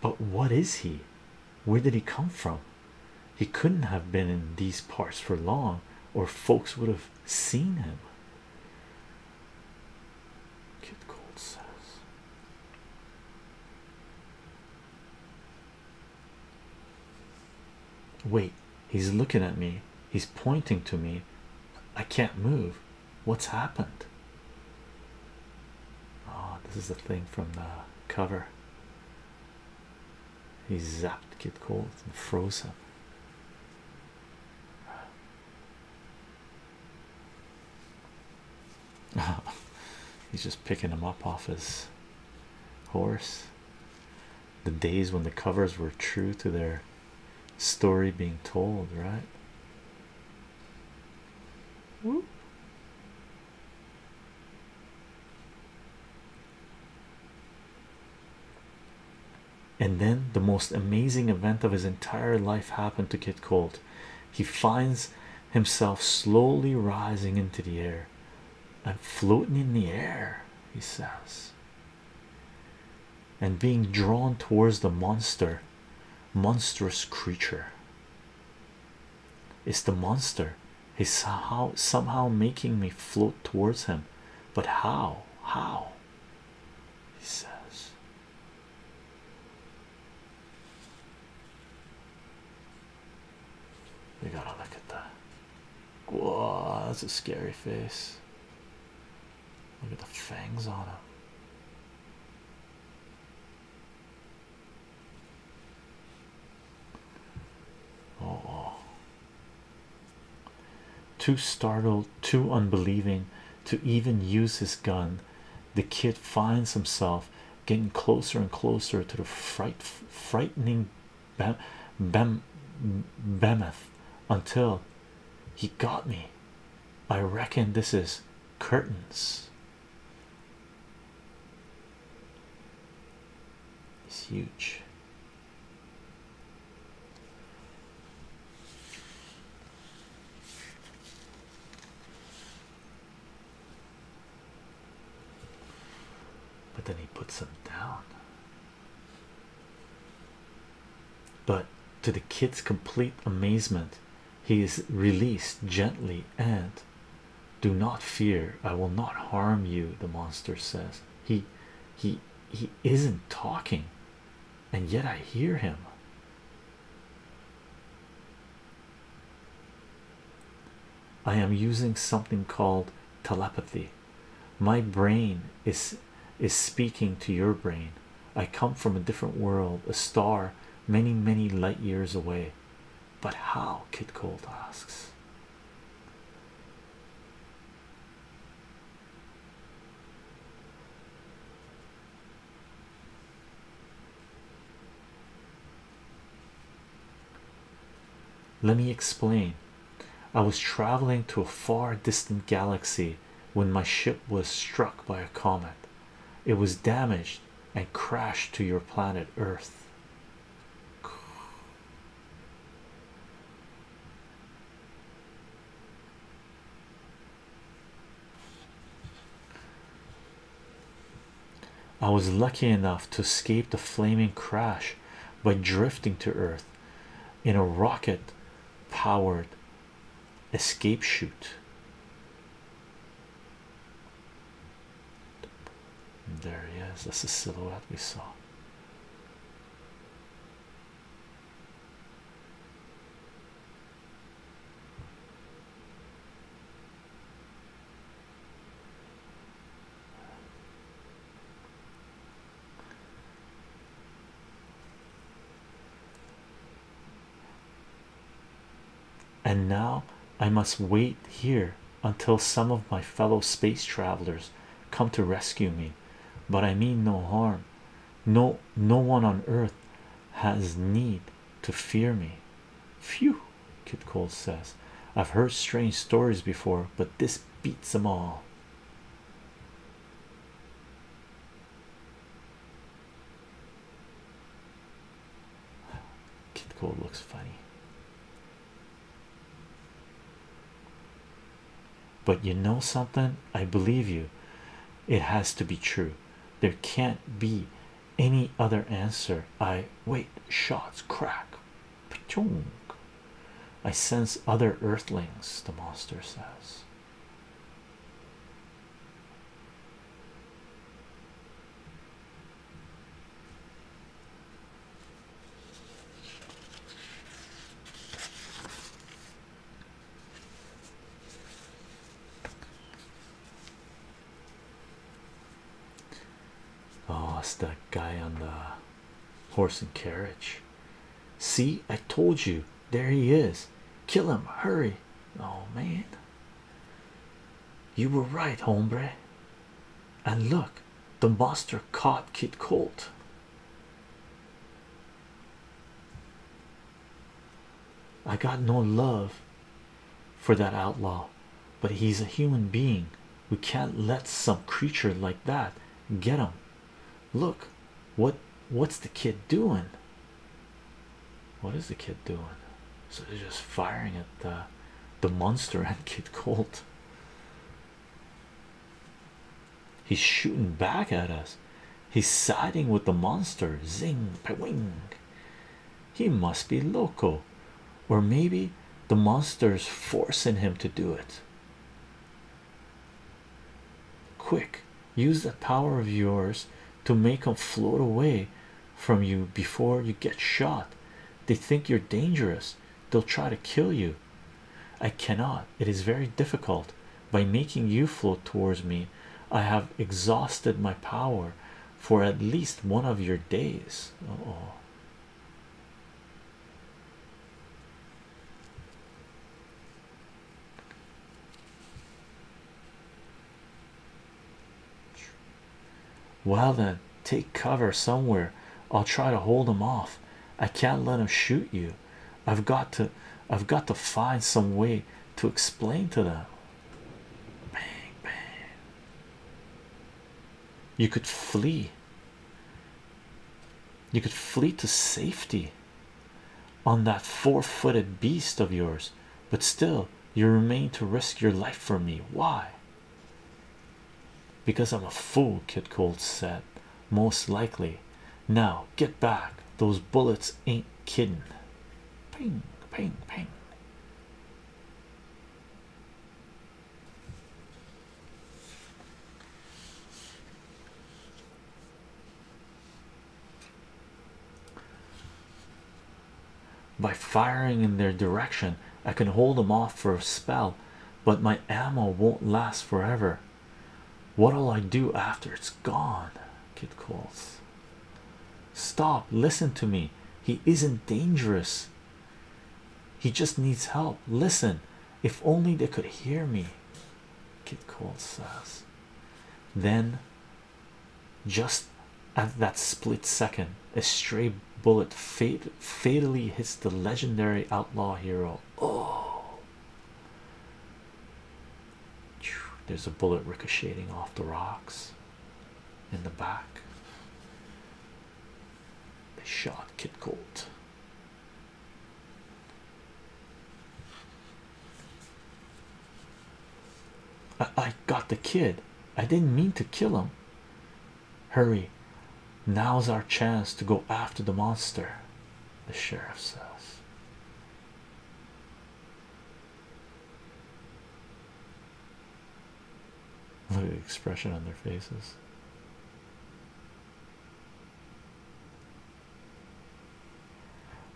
But what is he? Where did he come from? He couldn't have been in these parts for long, or folks would have seen him. Kid Gold says. Wait, he's looking at me, he's pointing to me. I can't move. What's happened? Oh, this is the thing from the cover. He zapped get Cold and froze him. He's just picking him up off his horse. The days when the covers were true to their story being told, right? And then the most amazing event of his entire life happened to Kid Colt. He finds himself slowly rising into the air. I'm floating in the air, he says. And being drawn towards the monster, monstrous creature. It's the monster. He's somehow somehow making me float towards him. But how? How? He says. We gotta look at that. Whoa, that's a scary face. Look at the fangs on him. Oh, oh, too startled, too unbelieving to even use his gun, the kid finds himself getting closer and closer to the fright, frightening bam, bam, behemoth until he got me. I reckon this is curtains. It's huge. But then he puts them down. But to the kid's complete amazement, he is released gently and do not fear i will not harm you the monster says he he he isn't talking and yet i hear him i am using something called telepathy my brain is is speaking to your brain i come from a different world a star many many light years away but how? Kid Colt asks. Let me explain. I was traveling to a far distant galaxy when my ship was struck by a comet. It was damaged and crash to your planet Earth. I was lucky enough to escape the flaming crash by drifting to Earth in a rocket powered escape chute. There he is. That's the silhouette we saw and now I must wait here until some of my fellow space travelers come to rescue me. But I mean no harm. No, no one on earth has need to fear me. Phew, Kid Cole says. I've heard strange stories before, but this beats them all. Kid Cole looks funny, but you know something? I believe you. It has to be true. There can't be any other answer. I wait. Shots crack. I sense other earthlings. The monster says. Oh, it's that guy on the horse and carriage. See, I told you there he is. Kill him, hurry! Oh man, you were right, hombre. And look, the monster caught Kid Colt. I got no love for that outlaw, but he's a human being. We can't let some creature like that get him. Look, what what's the kid doing? What is the kid doing? So they're just firing at the the monster and Kid Colt. He's shooting back at us. He's siding with the monster. Zing, wing. He must be loco, or maybe the monster's forcing him to do it. Quick, use the power of yours to make them float away from you before you get shot. They think you're dangerous, they'll try to kill you. I cannot, it is very difficult. By making you float towards me, I have exhausted my power for at least one of your days. oh. Well, then take cover somewhere. I'll try to hold him off. I can't let him shoot you. I've got to, I've got to find some way to explain to them. Bang, bang. You could flee. You could flee to safety on that four footed beast of yours, but still, you remain to risk your life for me. Why? Because I'm a fool, Kid Colt said. Most likely. Now get back. Those bullets ain't kidding. Ping, ping, ping. By firing in their direction, I can hold them off for a spell, but my ammo won't last forever. What'll I do after it's gone? Kid calls. Stop, listen to me. He isn't dangerous. He just needs help. Listen, if only they could hear me. Kid calls says. Then just at that split second, a stray bullet fatally hits the legendary outlaw hero. Oh, there's a bullet ricocheting off the rocks in the back. They shot Kid Colt. I, got the kid. I didn't mean to kill him. Hurry. Now's our chance to go after the monster, the sheriff says. Look at the expression on their faces.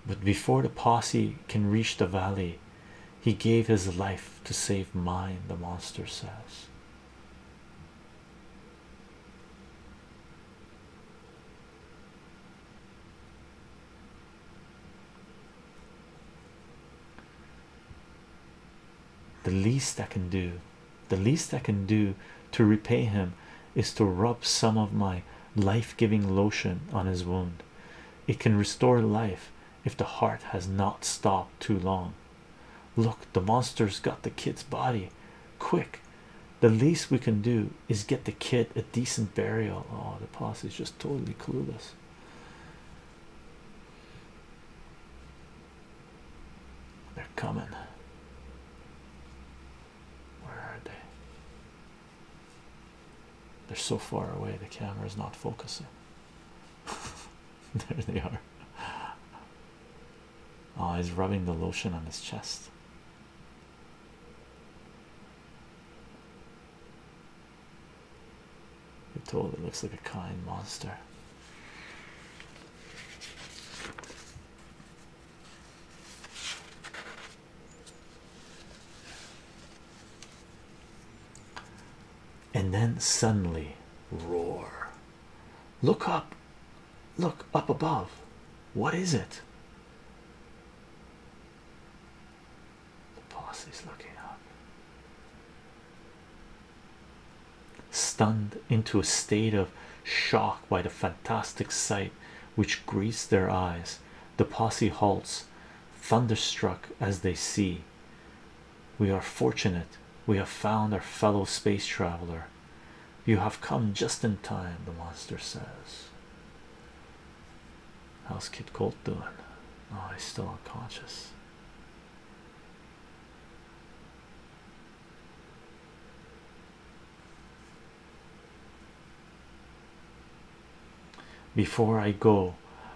But before the posse can reach the valley, he gave his life to save mine, the monster says. The least I can do, the least I can do to repay him is to rub some of my life giving lotion on his wound it can restore life if the heart has not stopped too long. Look, the monster's got the kid's body. Quick, the least we can do is get the kid a decent burial. Oh, the posse is just totally clueless. They're coming. Where are they? They're so far away, the camera is not focusing. there they are. Oh, he's rubbing the lotion on his chest. It totally looks like a kind monster and then suddenly roar look up look up above what is it the posse is looking up stunned into a state of shock by the fantastic sight which greets their eyes the posse halts thunderstruck as they see we are fortunate we have found our fellow space traveler. You have come just in time, the monster says. How's Kid Colt doing? Oh, he's still unconscious. Before I go,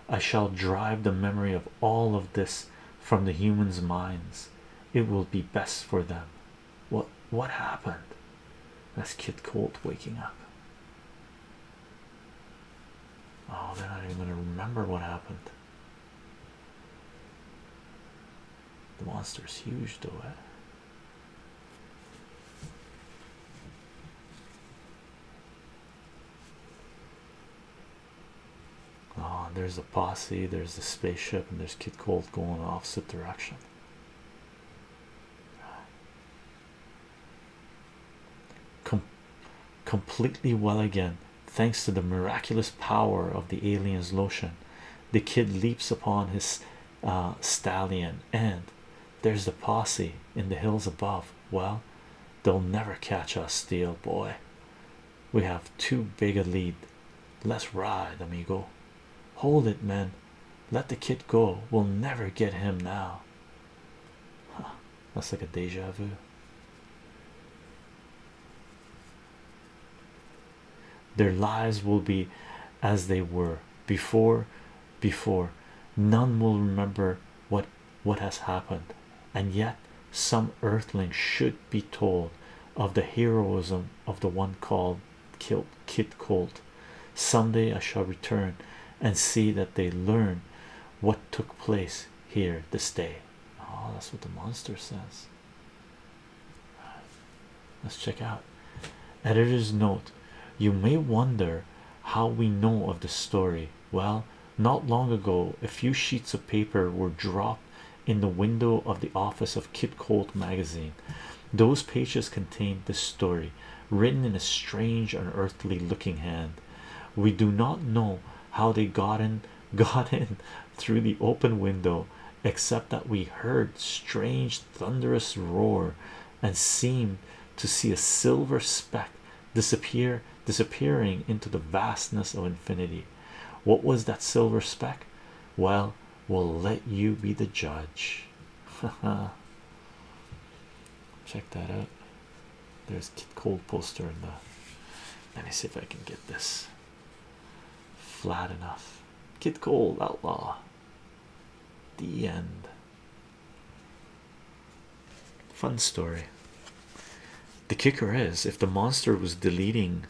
I shall drive the memory of all of this from the humans' minds. It will be best for them. What what happened? That's Kid Colt waking up. Oh, they're not even gonna remember what happened. The monster's huge though. Eh? Oh, there's the posse, there's the spaceship, and there's Kid Colt going opposite direction. completely well again, thanks to the miraculous power of the alien's lotion. The kid leaps upon his uh, stallion, and there's the posse in the hills above well they'll never catch us steel boy we have too big a lead let's ride amigo hold it men let the kid go we'll never get him now huh. that's like a deja vu their lives will be as they were before before none will remember what what has happened, and yet some earthling should be told of the heroism of the one called Kilt Kit Colt. Some day I shall return and see that they learn what took place here this day. Oh, that's what the monster says. Let's check out. Editor's note You may wonder how we know of the story. Well, not long ago, a few sheets of paper were dropped in the window of the office of Kid Colt magazine. Those pages contained this story, written in a strange, unearthly looking hand. We do not know how they got in, got in through the open window, except that we heard strange, thunderous roar and seemed to see a silver speck disappear disappearing into the vastness of infinity what was that silver speck well we'll let you be the judge check that out there's Kid Cold poster in the let me see if I can get this flat enough Kid Cold outlaw the end Fun story. The kicker is if the monster was deleting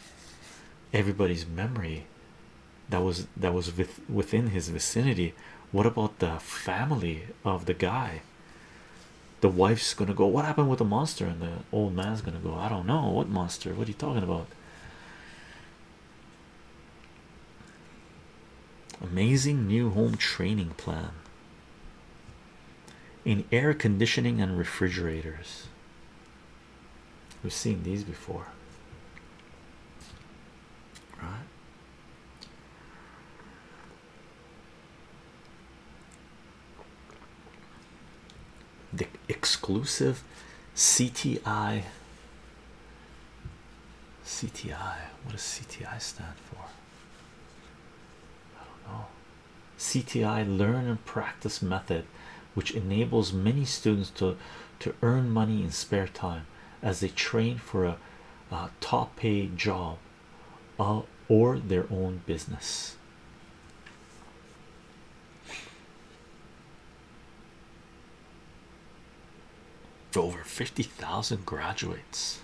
everybody's memory that was that was within his vicinity, what about the family of the guy? The wife's gonna go, What happened with the monster? And the old man's gonna go, I don't know what monster, what are you talking about? Amazing new home training plan in air conditioning and refrigerators. We've seen these before, right? The exclusive CTI. CTI, what does CTI stand for? CTI learn and practice method, which enables many students to to earn money in spare time as they train for a, top pay job uh, or their own business. Over 50,000 graduates.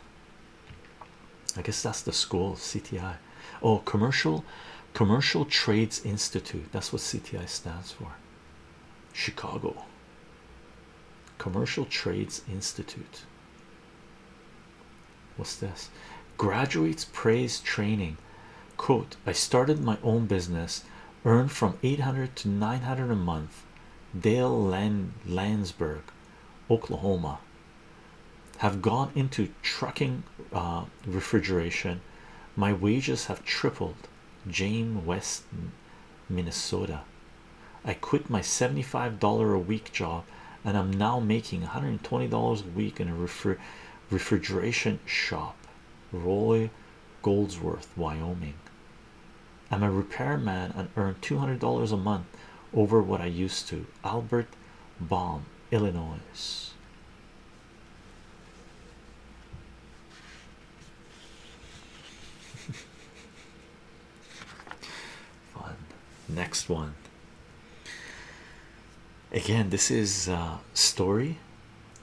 I guess that's the school CTI. Oh, commercial commercial trades institute. That's what CTI stands for. Chicago Commercial Trades Institute. What's this? Graduates praise training. Quote, I started my own business, earned from 800 to 900 a month. Dale Land Landsberg, Oklahoma have gone into trucking uh, refrigeration. My wages have tripled. Jane Weston, Minnesota. I quit my $75 a week job and I'm now making $120 a week in a refrigeration shop. Roy Goldsworth, Wyoming. I'm a repairman and earn $200 a month over what I used to. Albert Baum, Illinois. Fun. Next one. Again, this is a uh, story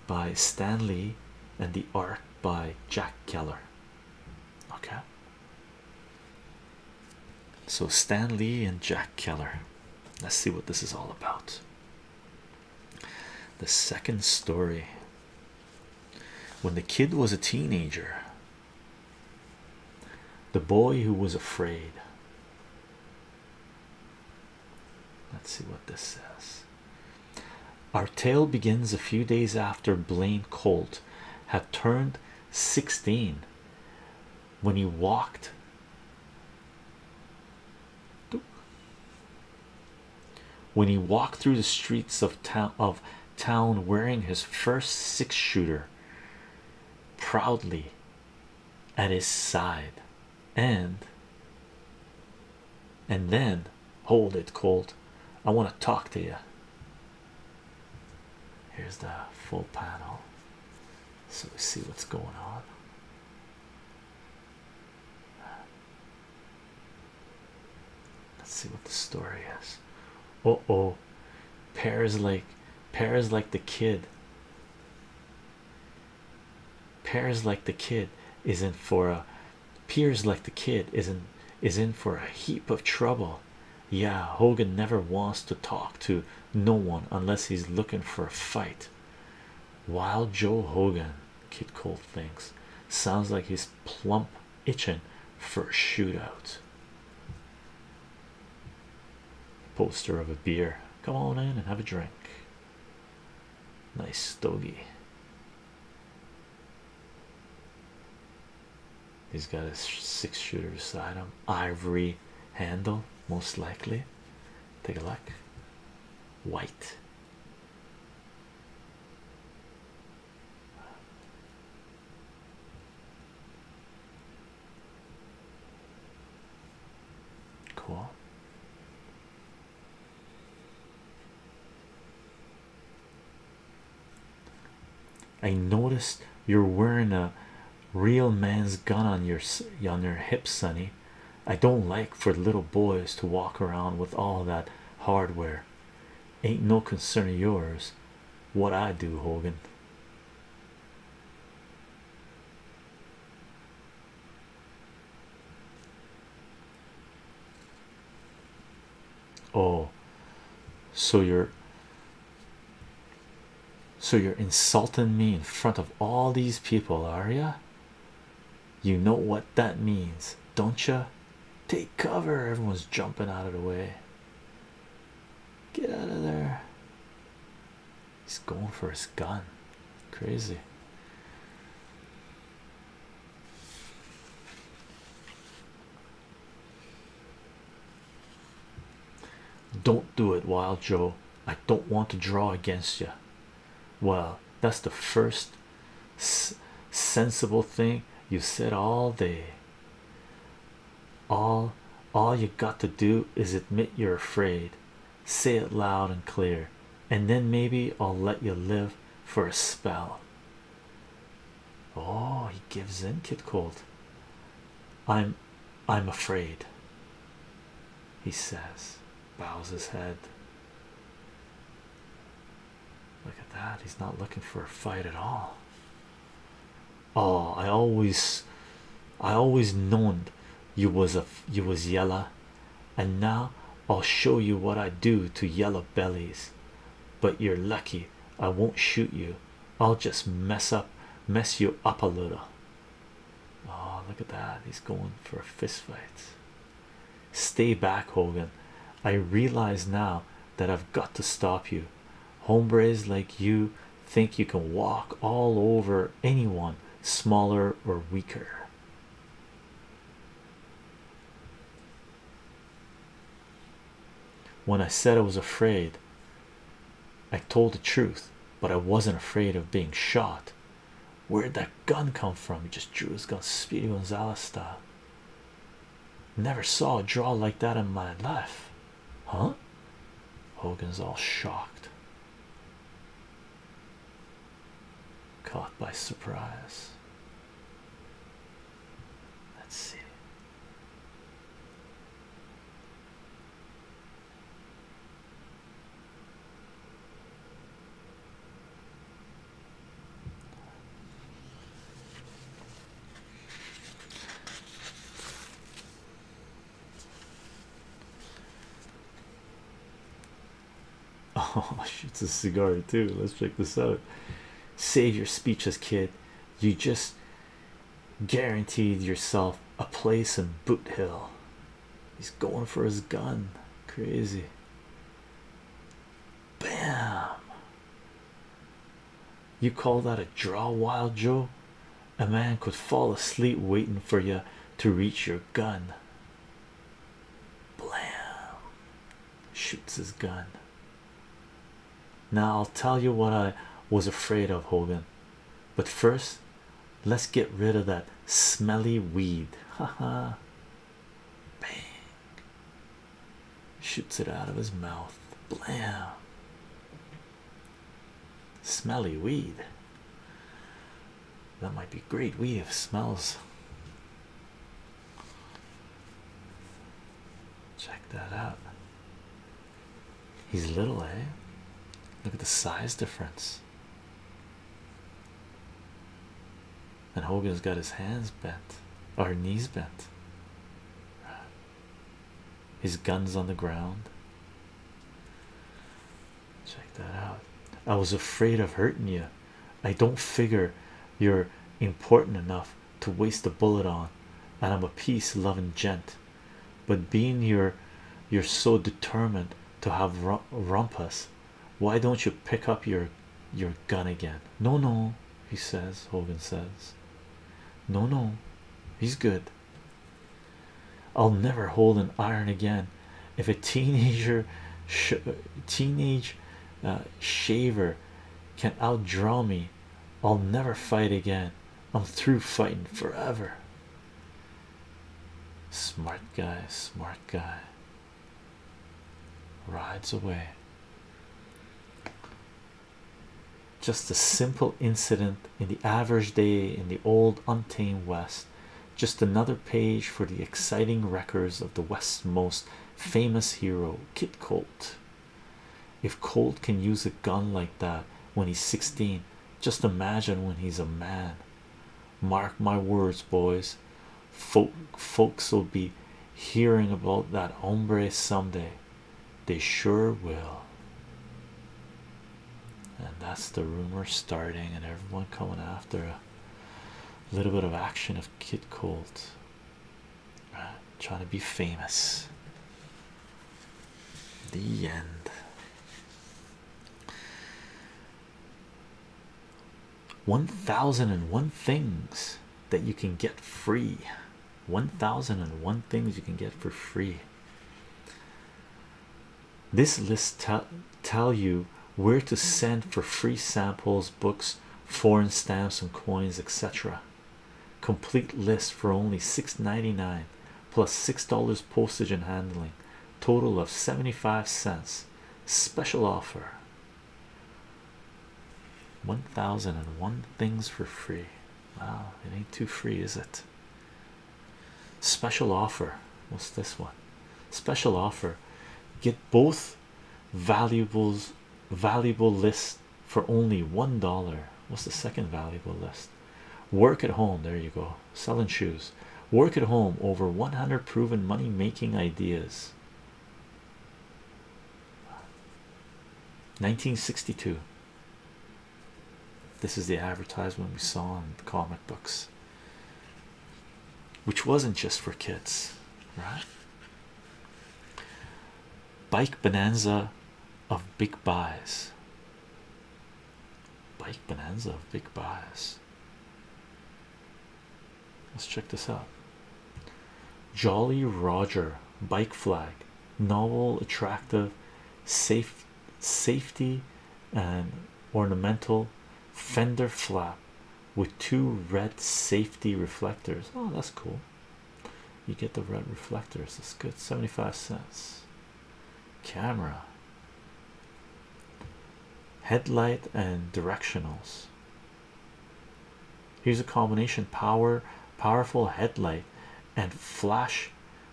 by Stanley and the art by Jack Keller. Okay, so Stan Lee and Jack Keller. Let's see what this is all about. The second story. When the kid was a teenager, the boy who was afraid. Let's see what this says. Our tale begins a few days after Blaine Colt had turned 16 when you walked when he walked through the streets of town of town wearing his first six shooter proudly at his side and and then hold it colt i want to talk to you Here's the full panel. So we see what's going on. Let's see what the story is. Oh oh, Pears like Pears like the kid. Pears like the kid is in for a peers like the kid is not is in for a heap of trouble yeah, Hogan never wants to talk to no one unless he's looking for a fight. Wild Joe Hogan, Kid Colt thinks, sounds like he's plump itching for a shootout. Poster of a beer. Come on in and have a drink. Nice stogie. He's got a six shooter beside him, ivory handle, most likely. Take a look. White. Cool. I noticed you're wearing a real man's gun on your on your hip, Sonny. I don't like for little boys to walk around with all that hardware. Ain't no concern of yours what I do, Hogan. Oh, so you're so you're insulting me in front of all these people, are you? You know what that means, don't you? Take cover, everyone's jumping out of the way. Get out of there. He's going for his gun. Crazy. Don't do it, Wild Joe. I don't want to draw against you. Well, that's the first sensible thing you said all day. All all you got to do is admit you're afraid. Say it loud and clear, and then maybe I'll let you live for a spell. Oh, he gives in, Kid Cold. I'm I'm afraid, he says, bows his head. Look at that, he's not looking for a fight at all. Oh, I always I always known you was a you was yellow, and now I'll show you what I do to yellow bellies. But you're lucky I won't shoot you I'll just mess up, mess you up a little. Oh, look at that! He's going for a fist fight. Stay back, Hogan. I realize now that I've got to stop you. Hombres like you think you can walk all over anyone smaller or weaker. When I said I was afraid, I told the truth, but I wasn't afraid of being shot. Where'd that gun come from? He just drew his gun, Speedy Gonzalez style. Never saw a draw like that in my life, huh? Hogan's all shocked, caught by surprise. Let's see. Oh, it's a cigar too. Let's check this out. Save your speeches, kid. You just guaranteed yourself a place in Boot Hill. He's going for his gun. Crazy. Bam. You call that a draw, Wild Joe? A man could fall asleep waitin' for you to reach your gun. Blam. Shoots his gun. Now I'll tell you what I was afraid of, Hogan. But first, let's get rid of that smelly weed. Ha ha. Bang. Shoots it out of his mouth. Blam. Smelly weed. That might be great weed if smells. Check that out. He's little, eh? Look at the size difference. And Hogan's got his hands bent, or knees bent. His guns on the ground. Check that out. I was afraid of hurting you. I don't figure you're important enough to waste a bullet on, and I'm a peace loving gent but being you're you're so determined to have rumpus why don't you pick up your your gun again no no he says hogan says no no he's good i'll never hold an iron again if a teenager teenage uh, shaver can outdraw me i'll never fight again i'm through fighting forever smart guy smart guy rides away just a simple incident in the average day in the old untamed west just another page for the exciting records of the west's most famous hero kit colt if Colt can use a gun like that when he's 16, just imagine when he's a man. Mark my words, boys. folks will be hearing about that hombre someday. They sure will. And that's the rumor starting, and everyone coming after a little bit of action of Kid Colt. trying to be famous. The end. One thousand and one things that you can get free. One thousand and one things you can get for free. This list tell you where to send for free samples, books, foreign stamps and coins, etc complete list for only $6.99 plus six dollars postage and handling total of 75 cents special offer 1001 things for free wow it ain't too free is it special offer what's this one special offer get both valuables valuable list for only one dollar what's the second valuable list work at home there you go selling shoes work at home over 100 proven money making ideas 1962 this is the advertisement we saw in the comic books which wasn't just for kids right bike bonanza of big buys. Bike bonanza of big buys. Let's check this out. Jolly Roger bike flag novel attractive safe safety and ornamental fender flap with two red safety reflectors. Oh, that's cool you get the red reflectors it's good 75 cents camera headlight and directionals here's a combination power powerful headlight and flash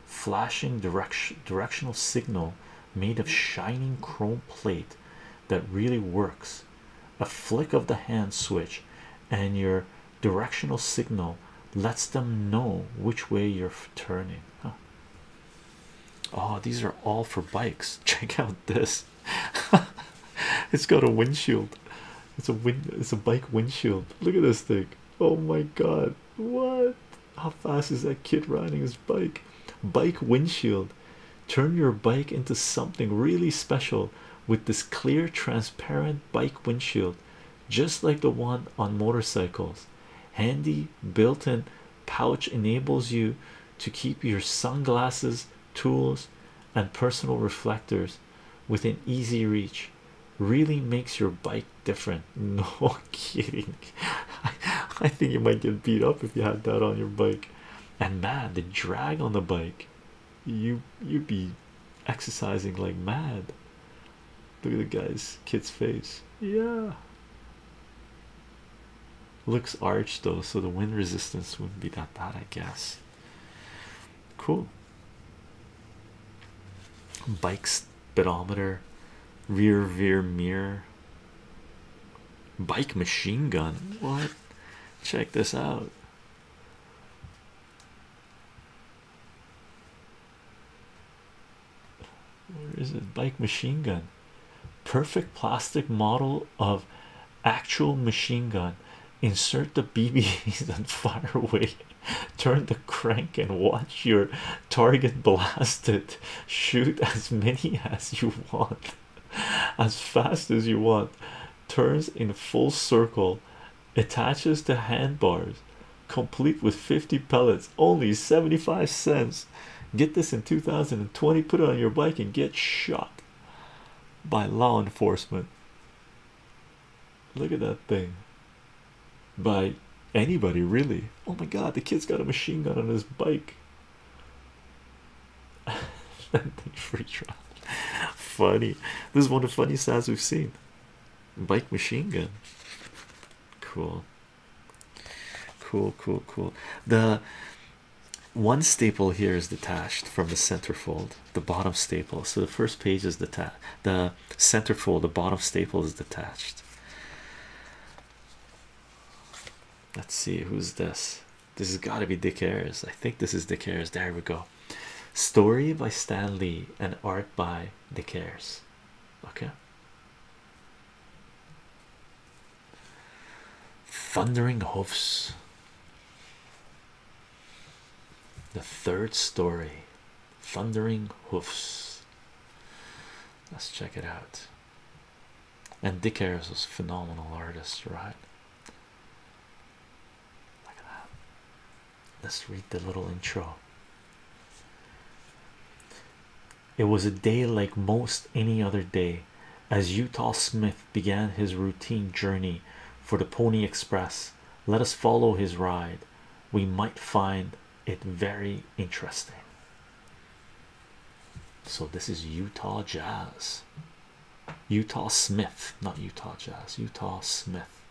flashing direction directional signal made of shining chrome plate that really works a flick of the hand switch and your directional signal lets them know which way you're turning. Huh. Oh, these are all for bikes. Check out this. it's got a windshield. It's a wind. It's a bike windshield. Look at this thing. Oh my god! What? How fast is that kid riding his bike? Bike windshield. Turn your bike into something really special with this clear, transparent bike windshield just like the one on motorcycles. Handy built-in pouch enables you to keep your sunglasses, tools, and personal reflectors within easy reach. Really makes your bike different. No kidding. I think you might get beat up if you had that on your bike. And man, the drag on the bike, you you'd be exercising like mad. Look at the guy's kid's face. Yeah. Looks arched though, so the wind resistance wouldn't be that bad, I guess. Cool. Bike speedometer, rear rear mirror, bike machine gun. What? Check this out where is it? Bike machine gun, perfect plastic model of actual machine gun. Insert the BBs and fire away. Turn the crank and watch your target blasted. Shoot as many as you want, as fast as you want. Turns in full circle attaches to handbars complete with 50 pellets only 75 cents get this in 2020 put it on your bike and get shot by law enforcement look at that thing by anybody really oh my god the kid's got a machine gun on his bike free trial funny this is one of the funniest ads we've seen bike machine gun Cool. Cool, cool, cool. The one staple here is detached from the centerfold, the bottom staple. So the first page is detached, the centerfold, the bottom staple is detached. Let's see who's this. This has got to be Dick Ayers. I think this is Dick Ayers. There we go. Story by Stan Lee and art by Dick Ayers okay thundering hoofs the third story thundering hoofs let's check it out and dick Harris was a phenomenal artist right Look at that. Let's read the little intro. It was a day like most any other day as Utah Smith began his routine journey for the Pony Express. Let us follow his ride, we might find it very interesting. So, this is Utah Jazz, Utah Smith, not Utah Jazz, Utah Smith.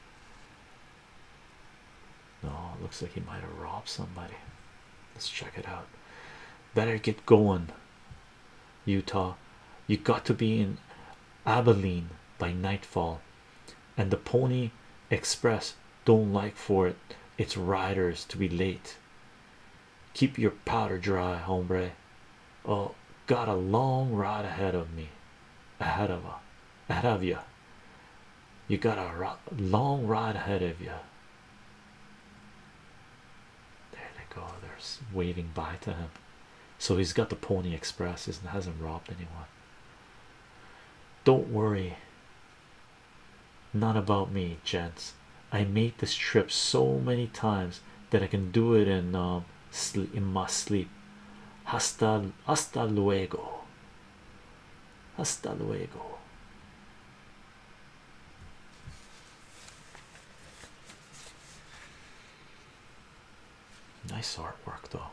No, looks like he might have robbed somebody. Let's check it out. Better get going, Utah. You got to be in Abilene by nightfall, and the Pony Express don't like for it its riders to be late. Keep your powder dry, hombre. Oh, got a long ride ahead of me, ahead of, ahead of you. You got a long ride ahead of you. There they go. They're waving bye to him. So he's got the Pony Express. is hasn't robbed anyone. Don't worry. Not about me, gents. I made this trip so many times that I can do it in um, in my sleep. Hasta hasta luego. Hasta luego. Nice artwork, though.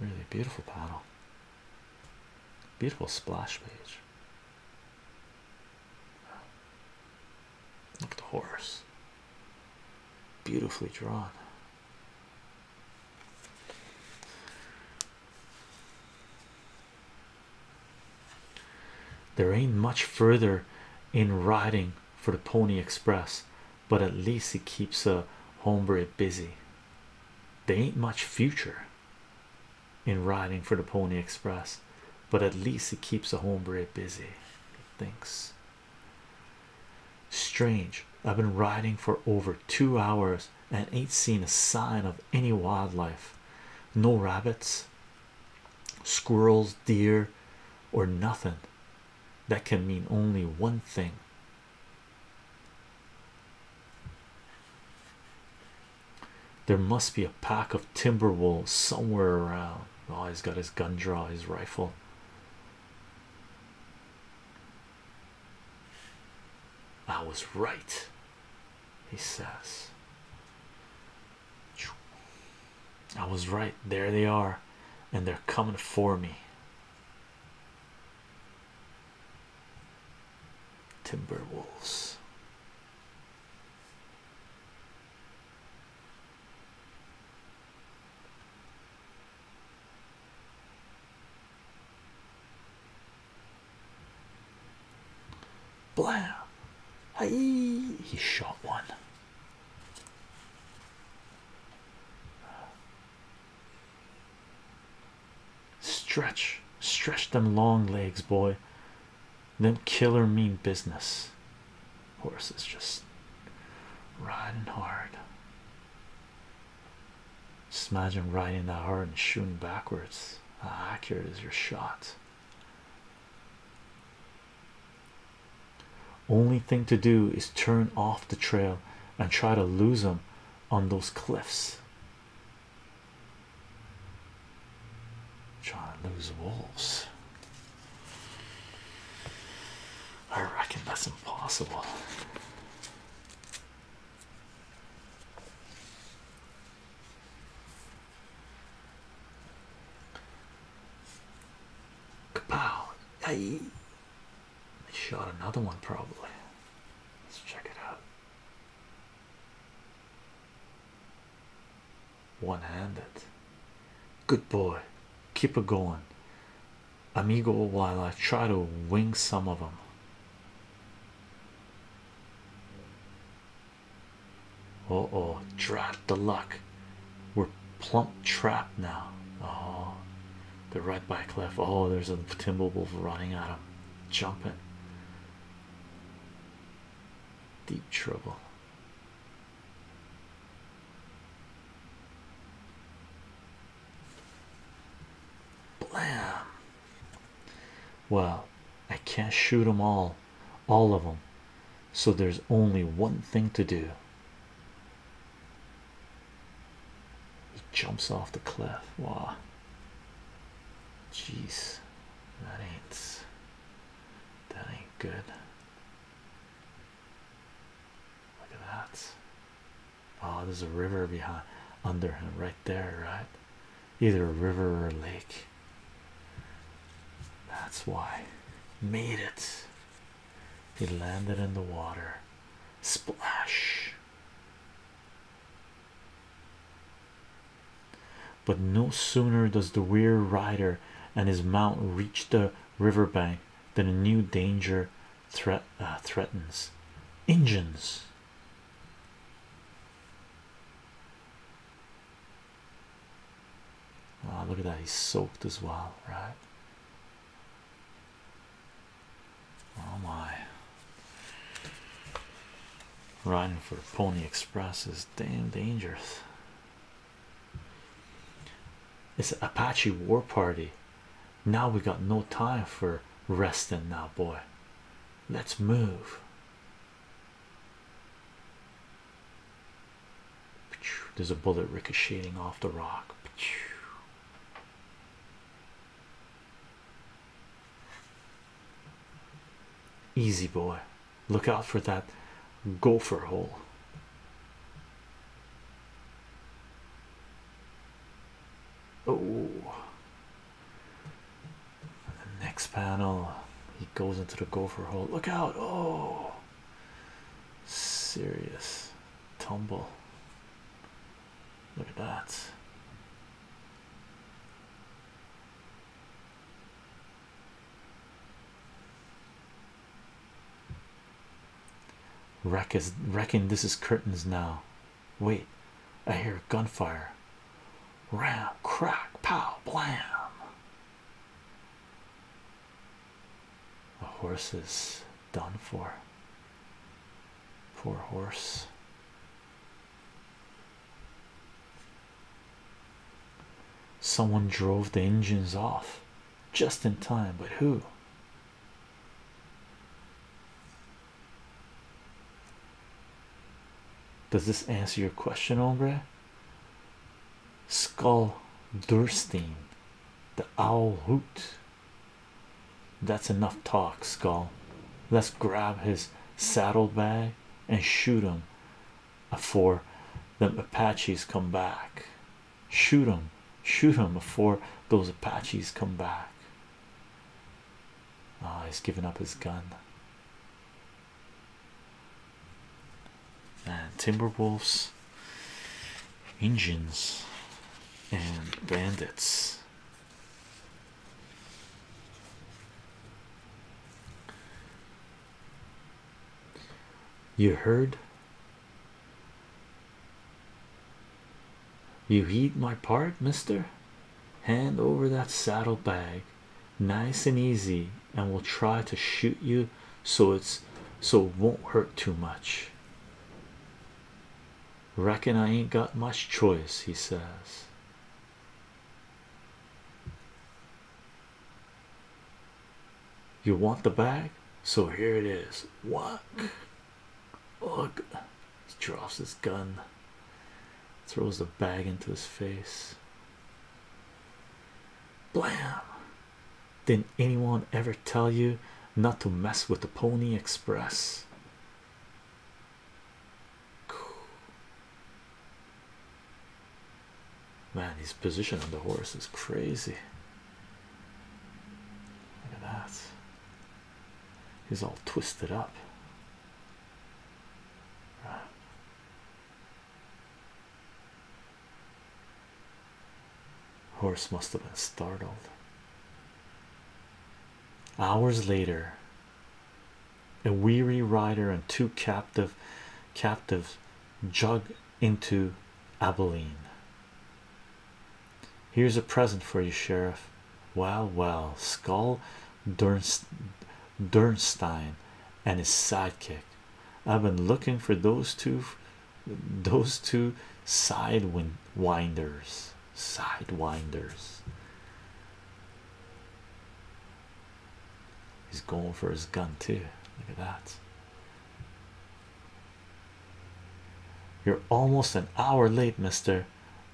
Really beautiful panel. Beautiful splash page. Look at the horse. Beautifully drawn. There ain't much further in riding for the Pony Express, but at least it keeps a homebred busy. There ain't much future in riding for the Pony Express, but at least it keeps a homebred busy. thinks. Strange, I've been riding for over two hours and ain't seen a sign of any wildlife no rabbits, squirrels, deer, or nothing. That can mean only one thing. There must be a pack of timber wolves somewhere around. Oh, he's got his gun drawn, his rifle. I was right, he says. I was right, there they are, and they're coming for me. Timberwolves. Blam! Hey, He shot one. Stretch, stretch them long legs, boy. Them killer mean business. Horses just riding hard. Just imagine riding that hard and shooting backwards. How accurate is your shot? Only thing to do is turn off the trail and try to lose them on those cliffs. Trying to lose wolves. I reckon that's impossible. Kapow! I, I shot another one probably. Let's check it out. One handed. Good boy. Keep it going. Amigo while I try to wing some of them. Oh, oh, drat the luck. We're plump trapped now. Oh, they're right by cliff. Oh, there's a Timberwolf running at him, jumping. Deep trouble. Blam. Well, I can't shoot them all, all of them. So there's only one thing to do. He jumps off the cliff. Wow. Jeez, that ain't that ain't good. Look at that. Oh, there's a river behind under him right there, right? Either a river or a lake. That's why. Made it. He landed in the water. Splash. But no sooner does the weird rider and his mount reach the riverbank than a new danger threat uh, threatens engines oh, look at that he's soaked as well right oh my riding for the pony express is damn dangerous it's an apache war party now we got no time for resting now boy let's move there's a bullet ricocheting off the rock easy boy look out for that gopher hole Oh, the next panel he goes into the gopher hole. Look out! Oh, serious tumble. Look at that. Reckon, is This is curtains now. Wait, I hear gunfire. Ram, crack, pow, blam. The horse is done for. Poor horse. Someone drove the engines off just in time, but who? Does this answer your question, Ombre? Skull Durstein, the owl hoot. That's enough talk, Skull. Let's grab his saddlebag and shoot him afore them Apaches come back. Shoot him, shoot him afore those Apaches come back. Ah, he's given up his gun. And uh, Timberwolves, Indians, and bandits. You heard you heed my part, mister. Hand over that saddle bag, nice and easy, and we'll try to shoot you so it's so it won't hurt too much. Reckon I ain't got much choice, he says. You want the bag? So here it is. What? Look, he drops his gun, throws the bag into his face. Blam! Didn't anyone ever tell you not to mess with the Pony Express? Man, his position on the horse is crazy. Look at that. He's all twisted up. Horse must have been startled. Hours later, a weary rider and two captive captives jog into Abilene. Here's a present for you, Sheriff. Well, well, Skull Dernst Dernstein and his sidekick. I've been looking for those two, those two sidewinders, sidewinders. He's going for his gun too. Look at that. You're almost an hour late, mister.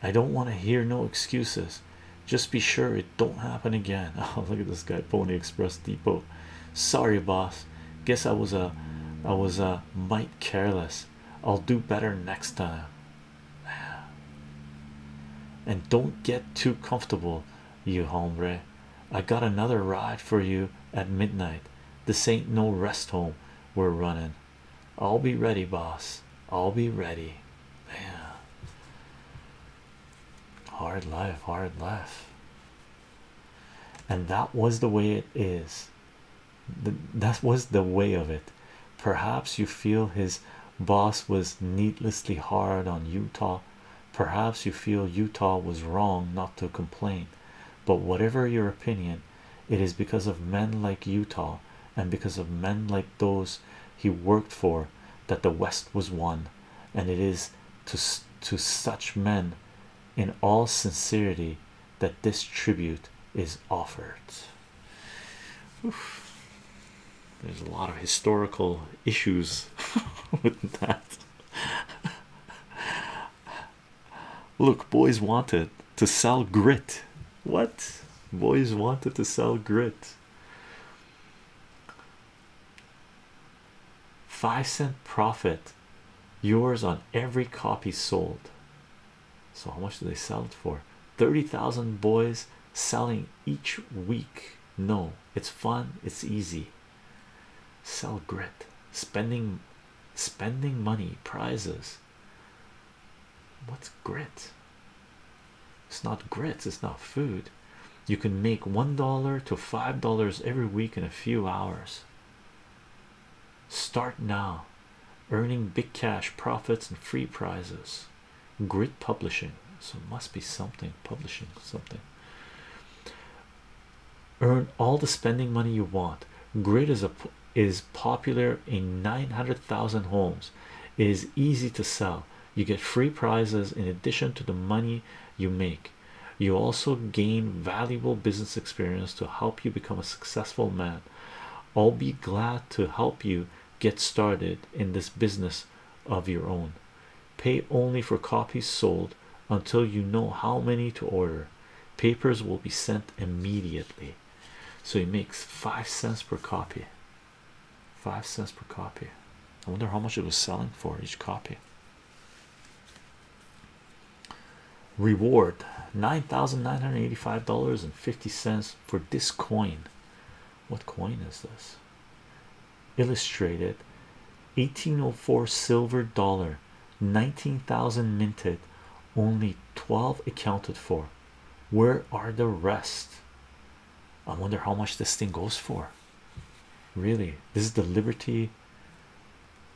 I don't want to hear no excuses. Just be sure it don't happen again. Oh, look at this guy, Pony Express Depot. Sorry, boss. Guess I was a, I was a mite careless. I'll do better next time. And don't get too comfortable, you hombre. I got another ride for you at midnight. This ain't no rest home we're running. I'll be ready, boss. I'll be ready. man. Hard life, hard life. And that was the way it is. that was the way of it. Perhaps you feel his boss was needlessly hard on Utah. Perhaps you feel Utah was wrong not to complain. But whatever your opinion, it is because of men like Utah and because of men like those he worked for that the West was won, and it is to to such men in all sincerity that this tribute is offered. There's a lot of historical issues with that. Look, boys wanted to sell grit. What boys wanted to sell grit. Five cent profit yours on every copy sold. So, how much do they sell it for? 30,000 boys selling each week. No, it's fun, it's easy. Sell grit, spending, spending money, prizes. What's grit? It's not grits, it's not food. You can make one dollar to five dollars every week in a few hours. Start now earning big cash profits and free prizes. Grit publishing, so it must be something publishing something. Earn all the spending money you want. Grit is a is popular in 900,000 homes it is easy to sell you get free prizes in addition to the money you make you also gain valuable business experience to help you become a successful man I'll be glad to help you get started in this business of your own pay only for copies sold until you know how many to order papers will be sent immediately so he makes five cents per copy. Five cents per copy. I wonder how much it was selling for each copy. Reward nine thousand nine hundred eighty five dollars and fifty cents for this coin. What coin is this? Illustrated 1804 silver dollar, 19,000 minted, only 12 accounted for. Where are the rest? I wonder how much this thing goes for. Really, this is the Liberty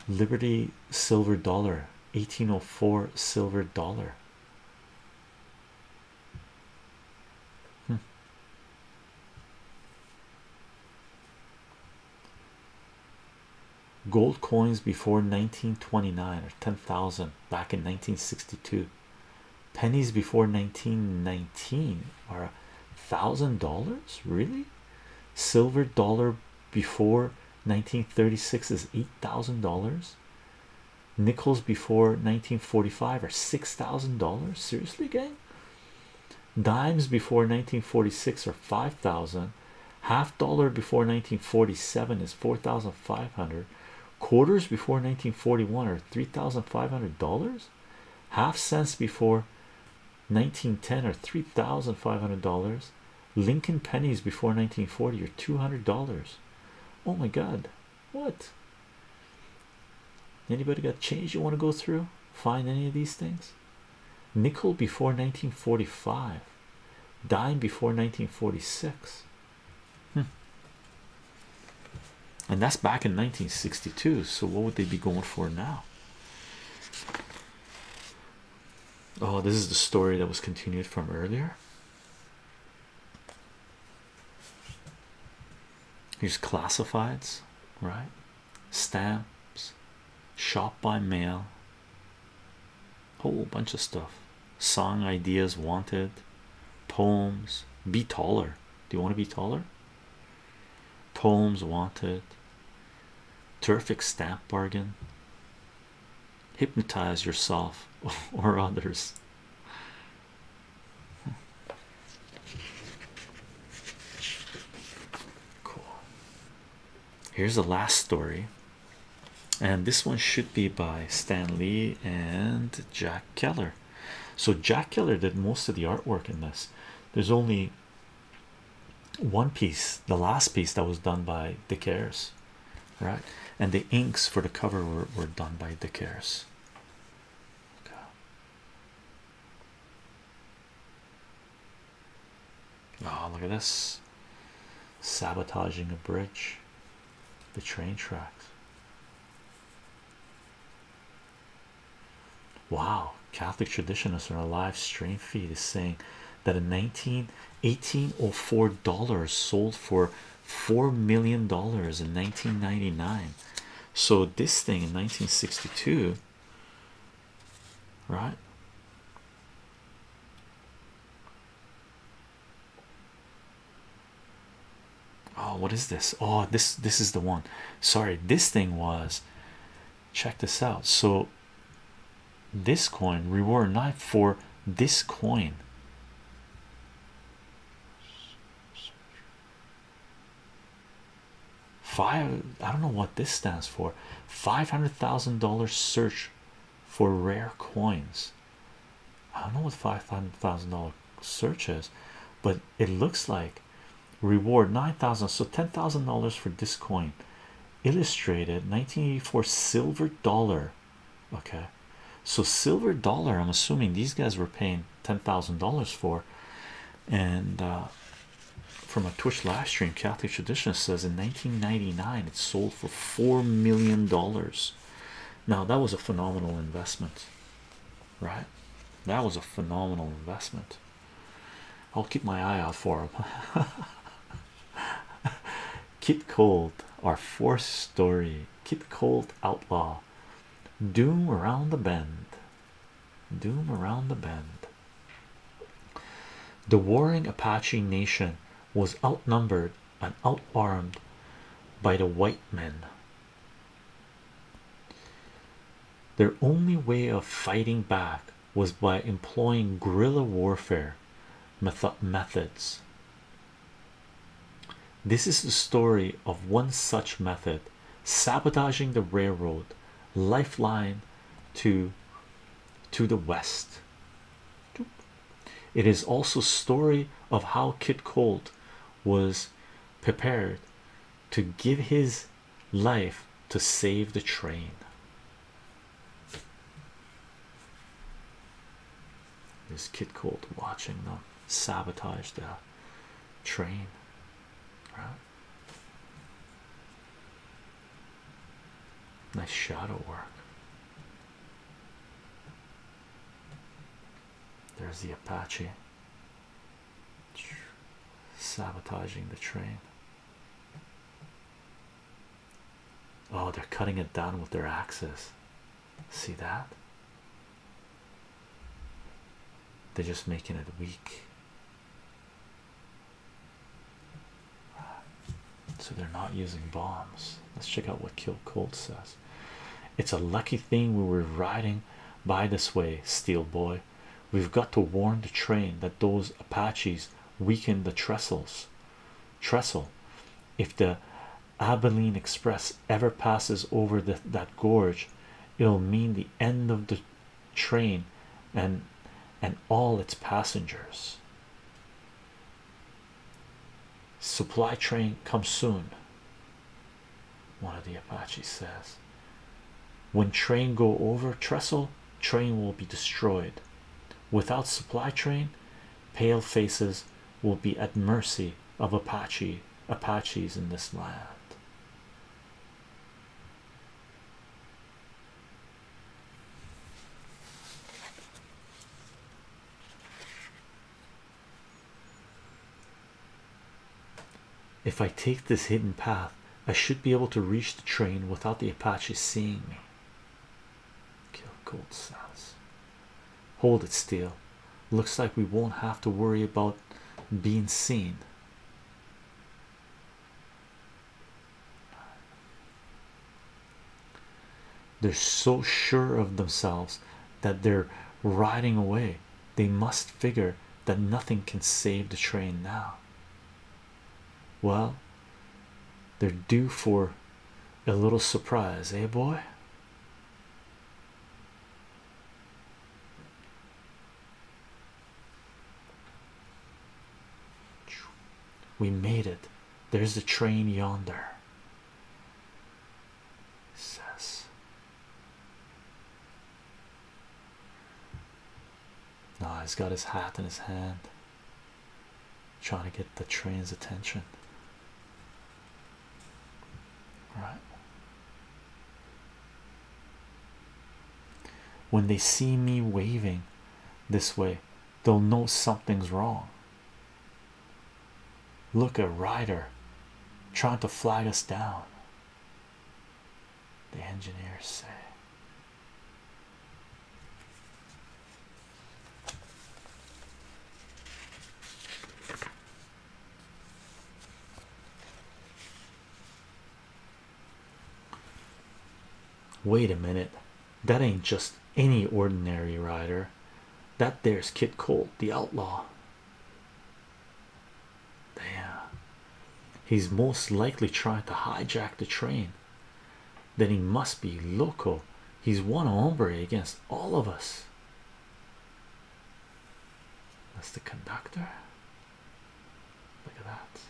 Liberty silver dollar 1804 silver dollar. Hmm. Gold coins before 1929 or 10,000 back in 1962. Pennies before 1919 are a thousand dollars, really. Silver dollar before 1936 is eight thousand dollars. Nickels before 1945 are six thousand dollars. Seriously, gang. Dimes before 1946 are five thousand. Half dollar before 1947 is four thousand five hundred quarters before 1941 are three thousand five hundred dollars half cents before 1910 are three thousand five hundred dollars Lincoln pennies before 1940 are two hundred dollars oh my god what anybody got change you want to go through find any of these things nickel before 1945 dime before 1946 Hmm. And that's back in 1962. So what would they be going for now? Oh, this is the story that was continued from earlier. Here's classifieds, right? Stamps, shop by mail, whole bunch of stuff song ideas wanted poems be taller do you want to be taller poems wanted terrific stamp bargain hypnotize yourself or others cool here's the last story and this one should be by Stan Lee and Jack Keller. So Jack Keller did most of the artwork in this. There's only one piece, the last piece that was done by Dick Ayers, right? And the inks for the cover were, were done by Dick Ayers. Oh, ah, look at this sabotaging a bridge the train tracks. Wow, Catholic traditionists on our live stream feed is saying that a 19 1804 dollars sold for four million dollars in 1999. So, this thing in 1962, right? Oh, what is this? Oh, this this is the one. Sorry, this thing was check this out. So this coin reward not for this coin. Five I don't know what this stands for. Five hundred thousand dollars search for rare coins. I don't know what five thousand dollar search is, but it looks like reward nine thousand so ten thousand dollars for this coin illustrated 1984 silver dollar. Okay, so silver dollar, I'm assuming these guys were paying ten thousand dollars for, and uh, from a Twitch live stream, Catholic tradition says in 1999 it sold for four million dollars. Now that was a phenomenal investment, right? That was a phenomenal investment. I'll keep my eye out for him. Kit Cold, our fourth story. Kit Cold Outlaw. Doom around the bend. Doom around the bend. The warring Apache Nation was outnumbered and out by the white men. Their only way of fighting back was by employing guerrilla warfare methods. This is the story of one such method sabotaging the railroad lifeline to to the west. It is also story of how Kit Colt was prepared to give his life to save the train. This Kit Colt watching them sabotage the train. Right? Nice shadow work. There's the Apache sabotaging the train. Oh, they're cutting it down with their axes. See that? They're just making it weak. So they're not using bombs. Let's check out what Kill Colt says. It's a lucky thing we were riding by this way, Steel Boy. We've got to warn the train that those Apaches weakened the trestles. Trestle. If the Abilene Express ever passes over that gorge, it'll mean the end of the train and and all its passengers. Supply train come soon. One of the Apaches says, When train go over trestle, train will be destroyed. Without supply train, pale faces will be at mercy of Apache Apaches in this land. If I take this hidden path, I should be able to reach the train without the Apaches seeing me. Kill Gold says. Hold it still. Looks like we won't have to worry about being seen they're so sure of themselves that they're riding away. They must figure that nothing can save the train now. Well, they're due for a little surprise, eh, boy? We made it. There's the train yonder says. Ah, he's got his hat in his hand, trying to get the train's attention. Right. When they see me waving this way, they'll know something's wrong. Look at Ryder trying to flag us down. The engineers say. Wait a minute, that ain't just any ordinary rider, that there's Kid Colt, the outlaw. Damn. He's most likely trying to hijack the train. Then he must be loco. He's one hombre against all of us. That's the conductor. Look at that.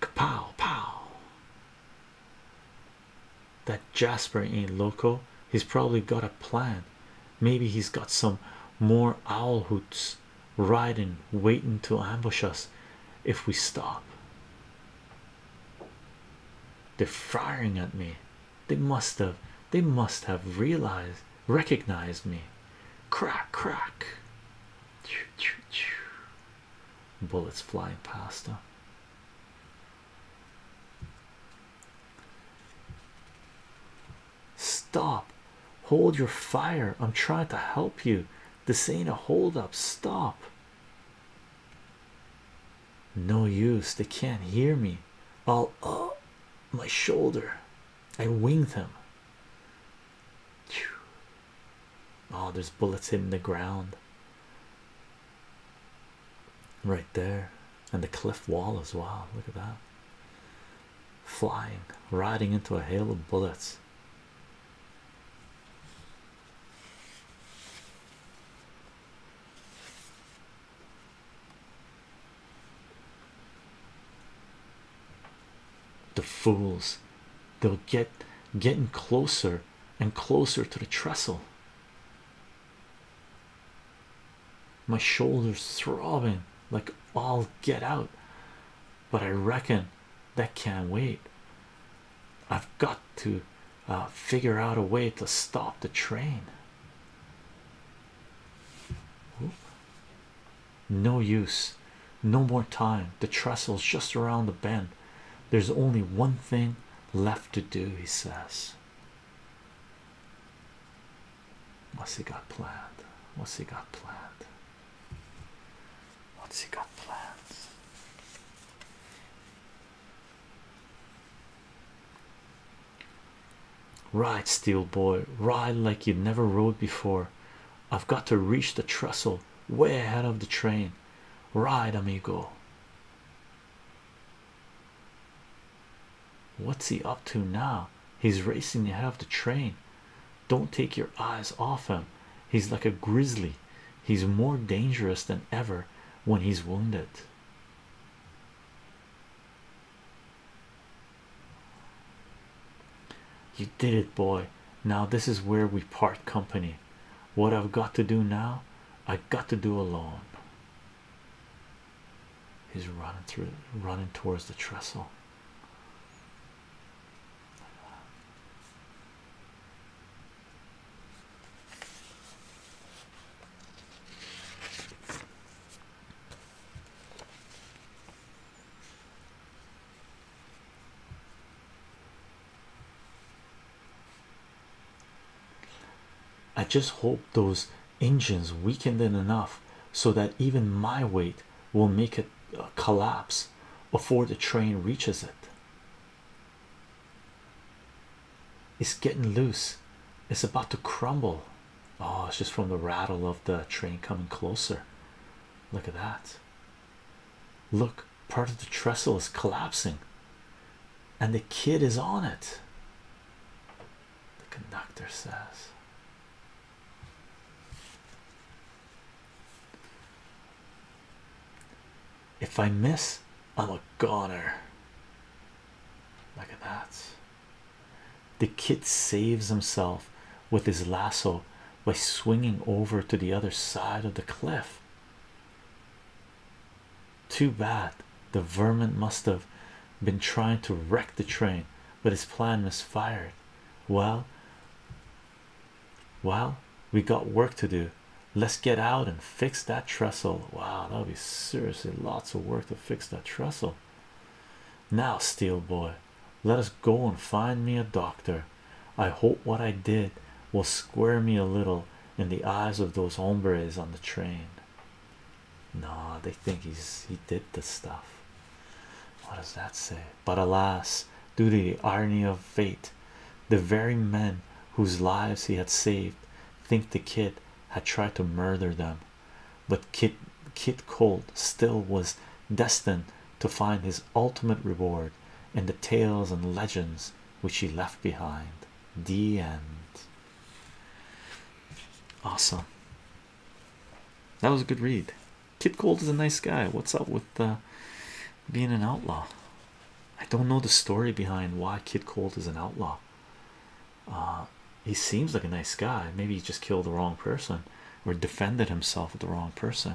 Kapow, pow. That Jasper ain't loco. He's probably got a plan. Maybe he's got some more owl hoots riding, waiting to ambush us if we stop. They're firing at me. They must have. They must have realized, recognized me. Crack, crack. Bullets flying past them. Stop. Hold your fire. I'm trying to help you. This ain't a hold up. Stop. No use. They can't hear me. I'll oh, my shoulder. I winged him. Oh, there's bullets in the ground right there, and the cliff wall as well. Look at that flying, riding into a hail of bullets. The fools they'll get getting closer and closer to the trestle. My shoulders throbbing like all get out, but I reckon that can't wait. I've got to uh, figure out a way to stop the train. No use, no more time. The trestle's just around the bend. There's only one thing left to do, he says. What's he got planned? What's he got planned? What's he got planned? Ride, steel boy, ride like you never rode before. I've got to reach the trestle way ahead of the train. Ride, amigo. What's he up to now? He's racing ahead of the train. Don't take your eyes off him. He's like a grizzly. He's more dangerous than ever when he's wounded. You did it, boy. Now, this is where we part company. What I've got to do now, I have got to do alone. He's running through, running towards the trestle. I just hope those engines weaken in enough so that even my weight will make it uh, collapse before the train reaches it. It's getting loose, it's about to crumble. Oh, it's just from the rattle of the train coming closer. Look at that. Look, part of the trestle is collapsing, and the kid is on it. The conductor says. If I miss, I'm a goner. Look at that. The kid saves himself with his lasso by swinging over to the other side of the cliff. Too bad the vermin must have been trying to wreck the train, but his plan misfired. Well, well, we got work to do. Let's get out and fix that trestle. Wow, that'll be seriously lots of work to fix that trestle. Now, steel boy, let us go and find me a doctor. I hope what I did will square me a little in the eyes of those hombres on the train. No, they think he's he did the stuff. What does that say? But alas, due to the irony of fate, the very men whose lives he had saved think the kid had tried to murder them. But Kit Kit Colt still was destined to find his ultimate reward forward in the tales and legends which he left behind. The end. Awesome. That was a good read. Kid Cold is a nice guy. What's up with uh, being an outlaw? I don't know the story behind why Kid Cold is an outlaw. Uh, he seems like a nice guy. Maybe he just killed the wrong person or defended himself with the wrong person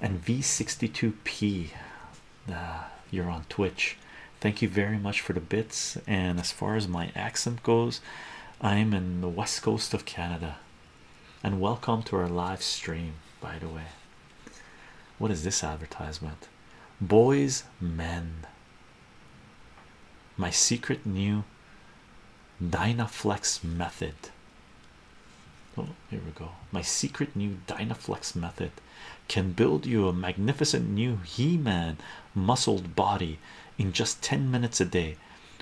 and v62p you're on twitch thank you very much for the bits and as far as my accent goes i'm in the west coast of canada and welcome to our live stream by the way what is this advertisement boys men my secret new Dynaflex method. Oh, here we go. My secret new Dynaflex method can build you a magnificent new He Man muscled body in just 10 minutes a day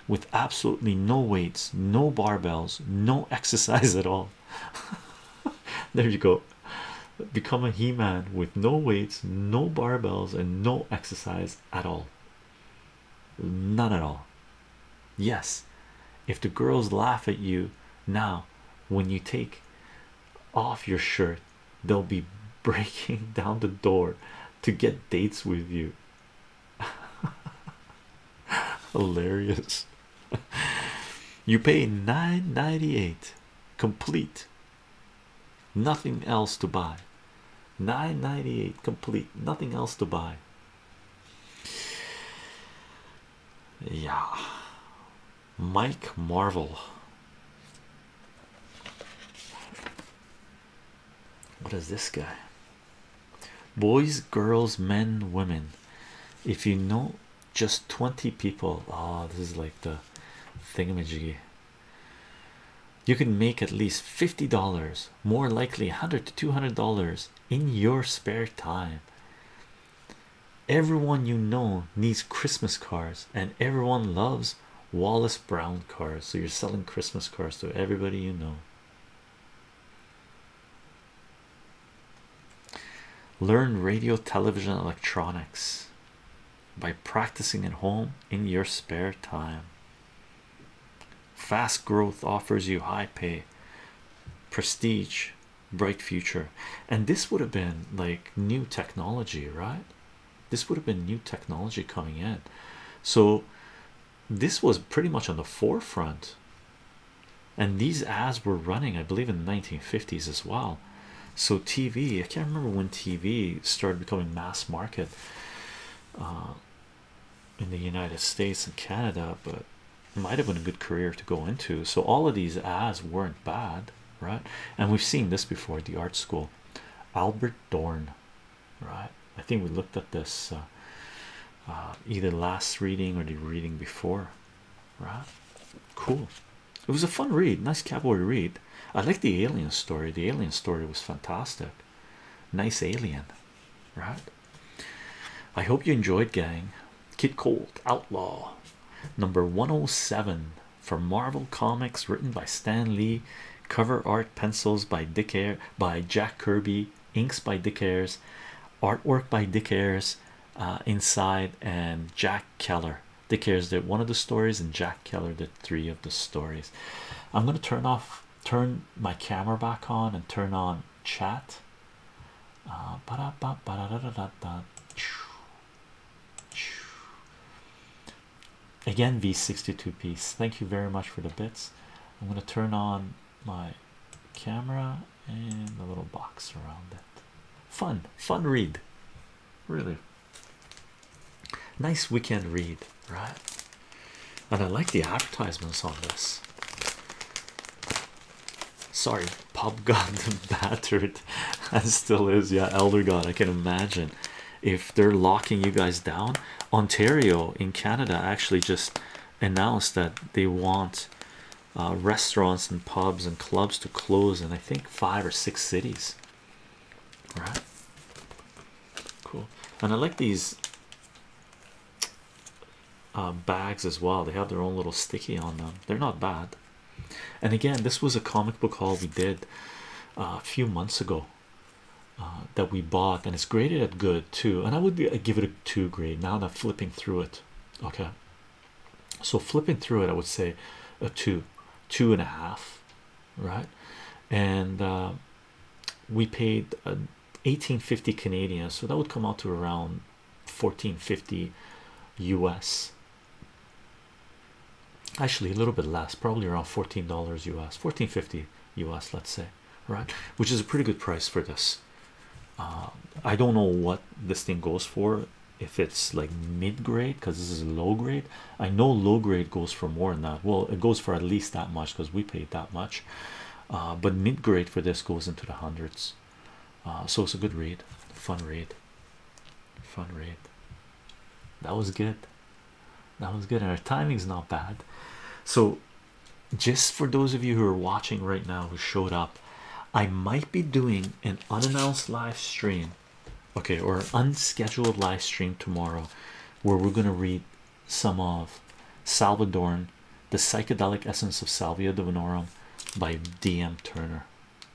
with absolutely no weights, no barbells, no exercise at all. there you go. Become a He Man with no weights, no barbells, and no exercise at all. None at all. Yes, if the girls laugh at you now when you take off your shirt, they'll be breaking down the door to get dates with you. Hilarious. You pay nine ninety eight, complete. Nothing else to buy. Nine ninety eight, complete. Nothing else to buy. Yeah, Mike Marvel. What is this guy? Boys, girls, men, women. If you know just 20 people, oh, this is like the thingamajiggy. You can make at least $50 more likely 100 to 200 dollars in your spare time everyone you know needs christmas cards and everyone loves wallace brown cards so you're selling christmas cards to everybody you know learn radio television electronics by practicing at home in your spare time Fast growth offers you high pay, prestige, bright future, and this would have been like new technology, right? This would have been new technology coming in, so this was pretty much on the forefront. And these ads were running, I believe, in the 1950s as well. So, TV, I can't remember when TV started becoming mass market. Uh, in the United States and Canada, but it might have been a good career to go into. So all of these ads weren't bad, right? And we've seen this before at the art school. Albert Dorn, right? I think we looked at this uh, uh, either last reading or the reading before, right? Cool. It was a fun read, nice cowboy read. I like the alien story. The alien story was fantastic. Nice alien, right? I hope you enjoyed, gang. Kid Colt Outlaw number 107 for Marvel Comics, written by Stan Lee, cover art pencils by Dick Air by Jack Kirby, inks by Dick Ayers, artwork by Dick Ayers uh, inside, and Jack Keller. Dick Ayers did one of the stories, and Jack Keller did three of the stories. I'm gonna turn off turn my camera back on and turn on chat. Uh, Again, V62 piece. Thank you very much for the bits. I'm going to turn on my camera and the little box around it. Fun, fun read. Really nice weekend read, right? And I like the advertisements on this. Sorry, pub got battered and still is. Yeah, elder god. I can imagine if they're locking you guys down. Ontario in Canada actually just announced that they want uh, restaurants and pubs and clubs to close in I think five or six cities. Right. cool. And I like these um, bags as well. They have their own little sticky on them. They're not bad. And again, this was a comic book haul we did uh, a few months ago uh, that we bought, and it's graded at good too. And I would give it a two grade now that I'm flipping through it. Okay, so flipping through it, I would say a two, two and a half, right? And uh, we paid. A, 1850 Canadian, so that would come out to around 1450 US. Actually, a little bit less, probably around 14 US, 1450 US, let's say, right? Which is a pretty good price for this. Uh, I don't know what this thing goes for if it's like mid grade because this is low grade. I know low grade goes for more than that. Well, it goes for at least that much because we paid that much. Uh, but mid grade for this goes into the hundreds. Uh, so it's a good read, fun read, fun read. That was good. That was good, and our timing's not bad. So, just for those of you who are watching right now who showed up, I might be doing an unannounced live stream, okay, or unscheduled live stream tomorrow where we're going to read some of Salvadoran the Psychedelic Essence of Salvia Divinorum by D.M. Turner.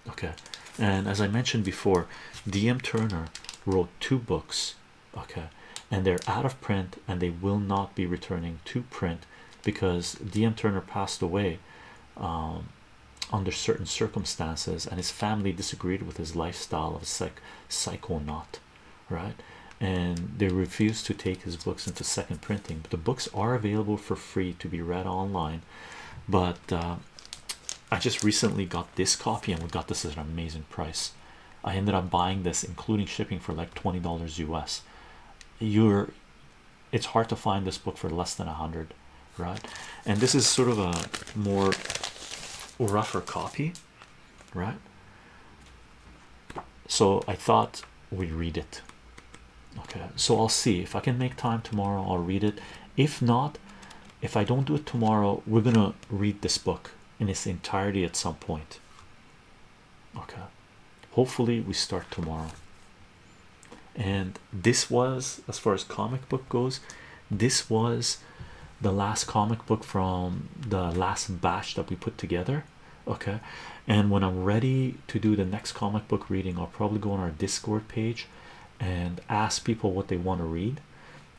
Okay, and as I mentioned before, D.M. Turner wrote two books, okay, and they're out of print and they will not be returning to print because D.M. Turner passed away. Um, under certain circumstances and his family disagreed with his lifestyle of psycho not, right and they refused to take his books into second printing. But the books are available for free to be read online. But uh, I just recently got this copy, and we got this at an amazing price. I ended up buying this, including shipping, for like twenty dollars US. You're it's hard to find this book for less than a hundred, right? And this is sort of a more rougher copy, right? so I thought we read it. Okay, so I'll see if I can make time tomorrow. I'll read it. If not, if I don't do it tomorrow, we're gonna read this book in its entirety at some point. Okay, hopefully, we start tomorrow. And this was, as far as comic book goes, this was the last comic book from the last batch that we put together okay and when i'm ready to do the next comic book reading i'll probably go on our discord page and ask people what they want to read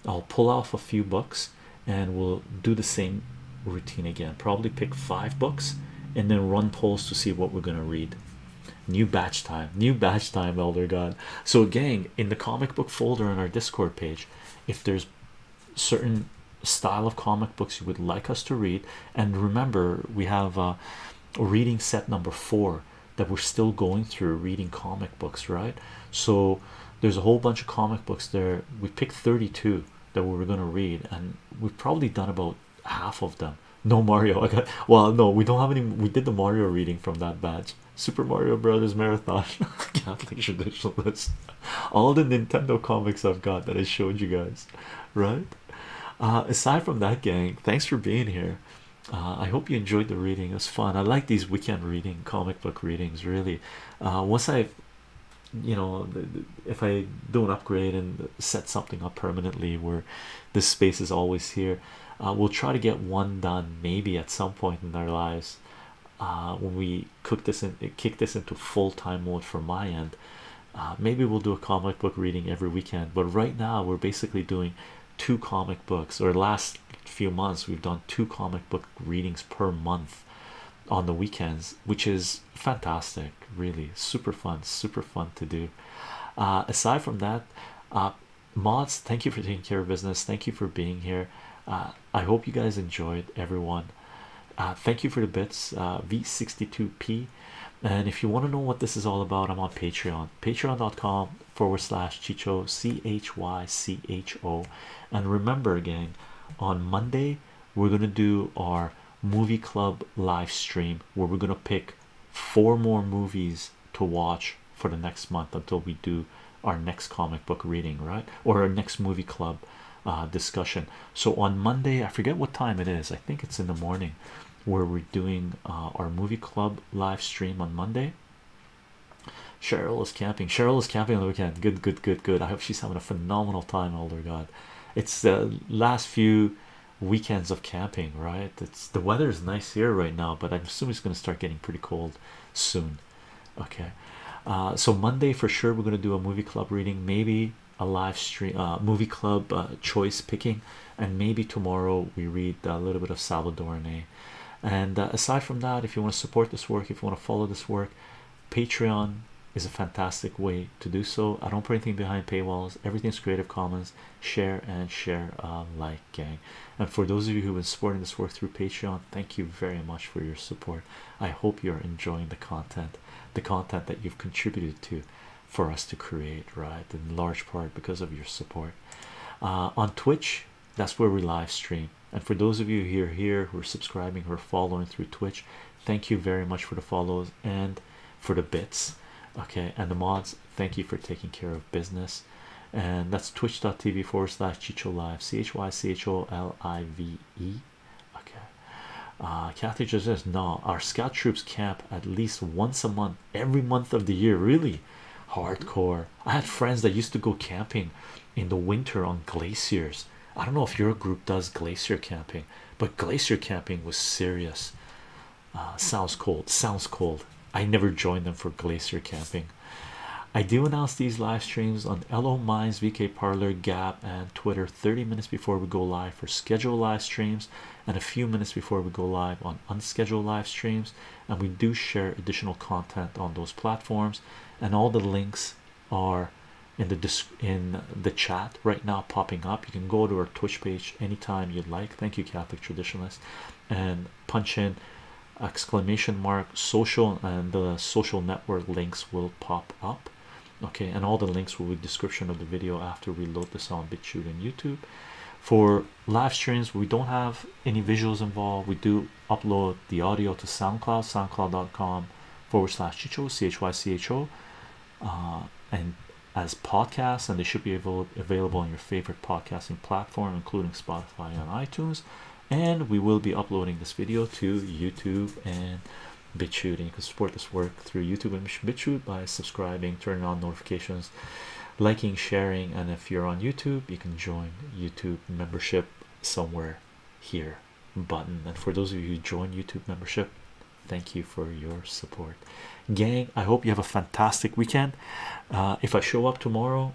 i'll pull off a few books and we'll do the same routine again probably pick five books and then run polls to see what we're going to read new batch time new batch time elder god so gang in the comic book folder on our discord page if there's certain style of comic books you would like us to read and remember we have uh, a reading set number four that we're still going through reading comic books right so there's a whole bunch of comic books there we picked 32 that we were going to read and we've probably done about half of them no mario i got well no we don't have any we did the mario reading from that batch super mario brothers marathon catholic traditionalist all the nintendo comics i've got that i showed you guys right? Uh, aside from that, gang, thanks for being here. Uh, I hope you enjoyed the reading. It was fun. I like these weekend reading, comic book readings. Really, uh, once I, you know, if I don't upgrade and set something up permanently, where this space is always here, we'll try to get one done maybe at some point in our lives. when we cook this and kick this into full time mode for my end, uh, maybe we'll do a comic book reading every weekend but right now we're basically doing two comic books or last few months we've done two comic book readings per month on the weekends which is fantastic really super fun super fun to do uh, aside from that uh, mods thank you for taking care of business thank you for being here I hope you guys enjoyed everyone uh, thank you for the bits, uh, V62P. And if you want to know what this is all about, I'm on Patreon, patreon.com forward slash Chicho, C H Y C H O. And remember again, on Monday, we're going to do our movie club live stream where we're going to pick four more movies to watch for the next month until we do our next comic book reading, right? Or our next movie club uh, discussion. So on Monday, I forget what time it is. I think it's in the morning, where we're doing uh, our movie club live stream on Monday. Cheryl is camping. Cheryl is camping on the weekend. Good, good, good, good. I hope she's having a phenomenal time. Elder God, it's the last few weekends of camping, right? It's the weather is nice here right now, but i assume it's going to start getting pretty cold soon. Okay, uh, so Monday for sure we're going to do a movie club reading. Maybe a live stream uh, movie club uh, choice picking and maybe tomorrow we read a little bit of Salvadoran. and uh, aside from that if you want to support this work if you want to follow this work Patreon is a fantastic way to do so I don't put anything behind paywalls everything's Creative Commons share and share uh, like gang and for those of you who've been supporting this work through Patreon thank you very much for your support I hope you're enjoying the content the content that you've contributed to for us to create, right? In large part because of your support. Uh, on Twitch, that's where we live stream. And for those of you here here who are subscribing or following through Twitch, thank you very much for the follows and for the bits. Okay, and the mods, thank you for taking care of business. And that's twitch.tv forward slash Chicho Live, C H Y C H O L I V okay uh kathy just says no our scout troops camp at least once a month every month of the year really hardcore i had friends that used to go camping in the winter on glaciers i don't know if your group does glacier camping but glacier camping was serious uh, sounds cold sounds cold i never joined them for glacier camping i do announce these live streams on lo minds vk parlor gap and twitter 30 minutes before we go live for scheduled live streams and a few minutes before we go live on unscheduled live streams and we do share additional content on those platforms and all the links are in the chat right now popping up you can go to our twitch page anytime you'd like thank you catholic traditionalist and punch in exclamation mark social and the social network links will pop up okay and all the links will be description of the video after we load the on BitChute and YouTube for live streams we don't have any visuals involved we do upload the audio to SoundCloud soundcloud.com forward slash chicho c-h-y-c-h-o uh, and as podcasts and they should be avail available on your favorite podcasting platform including Spotify and iTunes and we will be uploading this video to YouTube and BitChute, and you can support this work through YouTube and BitChute by subscribing, turning on notifications, liking, sharing, and if you're on YouTube, you can join YouTube membership somewhere here button. And for those of you who join YouTube membership, thank you for your support, gang. I hope you have a fantastic weekend. Uh, if I show up tomorrow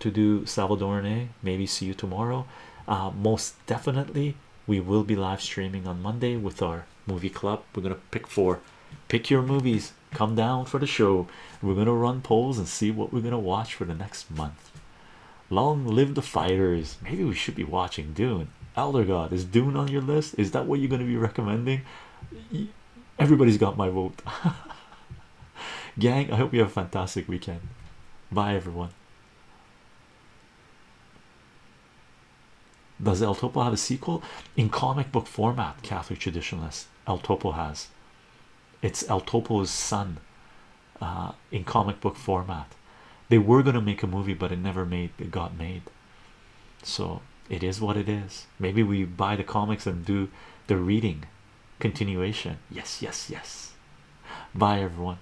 to do Salvadorne, maybe see you tomorrow. Uh, most definitely, we will be live streaming on Monday with our movie club. We're gonna pick four, pick your movies, come down for the show. We're gonna run polls and see what we're gonna watch for the next month. Long live the fighters! Maybe we should be watching Dune. Elder God, is Dune on your list? Is that what you're gonna be recommending? Everybody's got my vote. Gang, I hope you have a fantastic weekend. Bye, everyone. Does El Topo have a sequel in comic book format? Catholic traditionalists? El Topo has. It's El Topo's son uh, in comic book format. They were going to make a movie, but it never made. It got made. So it is what it is. Maybe we buy the comics and do the reading continuation. Yes, yes, yes. Bye, everyone.